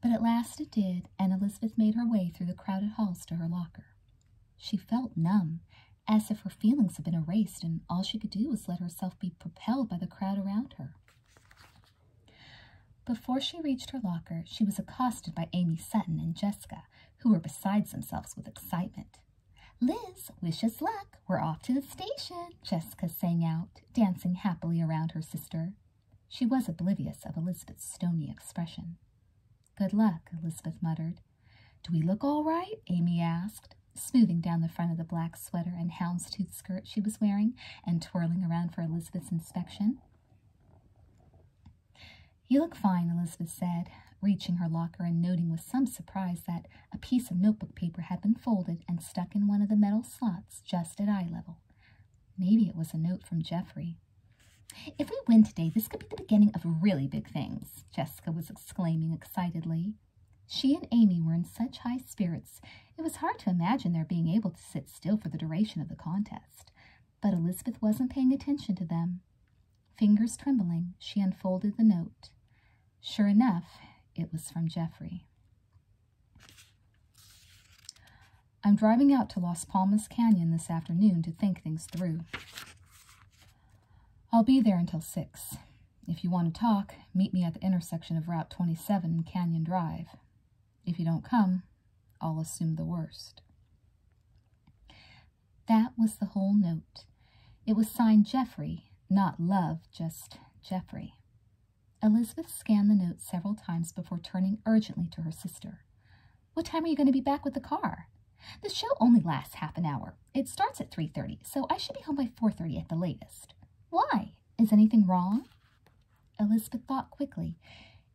Speaker 1: but at last it did, and Elizabeth made her way through the crowded halls to her locker. She felt numb, as if her feelings had been erased, and all she could do was let herself be propelled by the crowd around her. Before she reached her locker, she was accosted by Amy Sutton and Jessica, who were beside themselves with excitement. Liz, wish us luck. We're off to the station, Jessica sang out, dancing happily around her sister. She was oblivious of Elizabeth's stony expression. Good luck, Elizabeth muttered. Do we look all right? Amy asked, smoothing down the front of the black sweater and houndstooth skirt she was wearing and twirling around for Elizabeth's inspection. You look fine, Elizabeth said, reaching her locker and noting with some surprise that a piece of notebook paper had been folded and stuck in one of the metal slots just at eye level. Maybe it was a note from Geoffrey. If we win today, this could be the beginning of really big things, Jessica was exclaiming excitedly. She and Amy were in such high spirits it was hard to imagine their being able to sit still for the duration of the contest, but Elizabeth wasn't paying attention to them. Fingers trembling, she unfolded the note. Sure enough, it was from Jeffrey. I'm driving out to Las Palmas Canyon this afternoon to think things through. I'll be there until 6. If you want to talk, meet me at the intersection of Route 27 and Canyon Drive. If you don't come, I'll assume the worst. That was the whole note. It was signed Jeffrey, not Love, just Jeffrey. Elizabeth scanned the note several times before turning urgently to her sister. What time are you going to be back with the car? The show only lasts half an hour. It starts at 3.30, so I should be home by 4.30 at the latest. Why? Is anything wrong? Elizabeth thought quickly.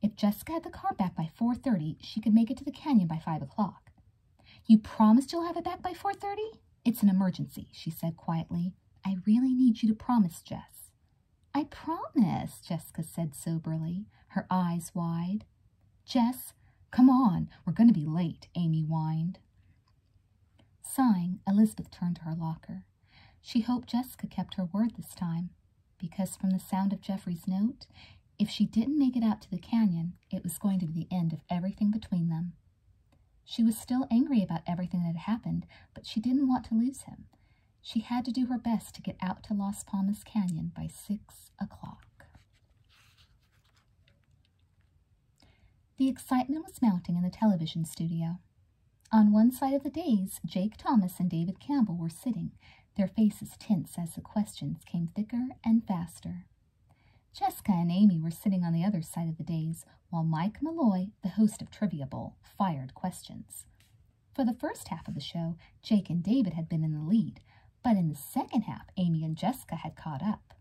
Speaker 1: If Jessica had the car back by 4.30, she could make it to the canyon by 5 o'clock. You promised you'll have it back by 4.30? It's an emergency, she said quietly. I really need you to promise, Jess. I promise, Jessica said soberly, her eyes wide. Jess, come on, we're going to be late, Amy whined. Sighing, Elizabeth turned to her locker. She hoped Jessica kept her word this time, because from the sound of Jeffrey's note, if she didn't make it out to the canyon, it was going to be the end of everything between them. She was still angry about everything that had happened, but she didn't want to lose him. She had to do her best to get out to Las Palmas Canyon by six o'clock. The excitement was mounting in the television studio. On one side of the dais, Jake Thomas and David Campbell were sitting, their faces tense as the questions came thicker and faster. Jessica and Amy were sitting on the other side of the dais, while Mike Malloy, the host of Trivia Bowl, fired questions. For the first half of the show, Jake and David had been in the lead, but in the second half, Amy and Jessica had caught up.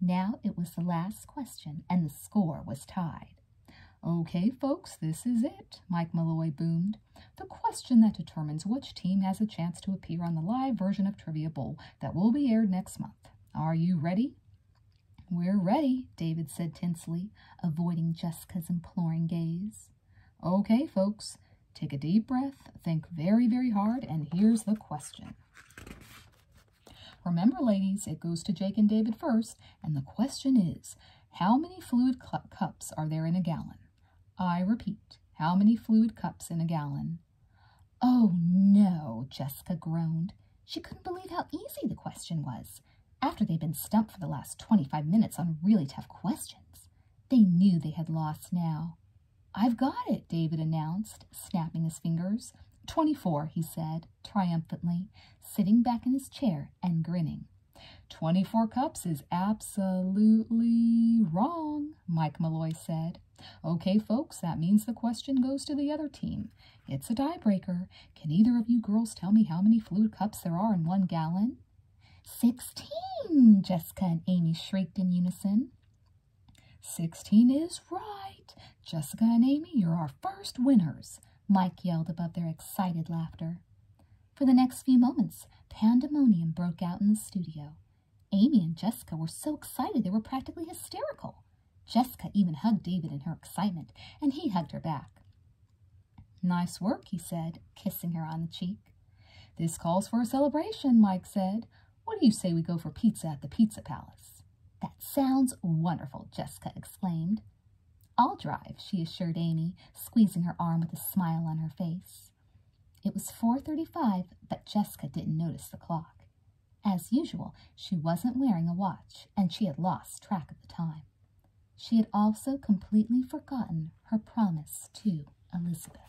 Speaker 1: Now it was the last question, and the score was tied. Okay, folks, this is it, Mike Malloy boomed. The question that determines which team has a chance to appear on the live version of Trivia Bowl that will be aired next month. Are you ready? We're ready, David said tensely, avoiding Jessica's imploring gaze. Okay, folks, take a deep breath, think very, very hard, and here's the question. Remember, ladies, it goes to Jake and David first, and the question is, how many fluid cups are there in a gallon? I repeat, how many fluid cups in a gallon? Oh no, Jessica groaned. She couldn't believe how easy the question was. After they'd been stumped for the last 25 minutes on really tough questions, they knew they had lost now. I've got it, David announced, snapping his fingers. 24, he said triumphantly, sitting back in his chair and grinning. Twenty four cups is absolutely wrong, Mike Malloy said. Okay, folks, that means the question goes to the other team. It's a tiebreaker. Can either of you girls tell me how many fluid cups there are in one gallon? Sixteen, Jessica and Amy shrieked in unison. Sixteen is right. Jessica and Amy, you're our first winners, Mike yelled above their excited laughter. For the next few moments, pandemonium broke out in the studio. Amy and Jessica were so excited they were practically hysterical. Jessica even hugged David in her excitement, and he hugged her back. Nice work, he said, kissing her on the cheek. This calls for a celebration, Mike said. What do you say we go for pizza at the Pizza Palace? That sounds wonderful, Jessica exclaimed. I'll drive, she assured Amy, squeezing her arm with a smile on her face. It was 4.35, but Jessica didn't notice the clock. As usual, she wasn't wearing a watch, and she had lost track of the time. She had also completely forgotten her promise to Elizabeth.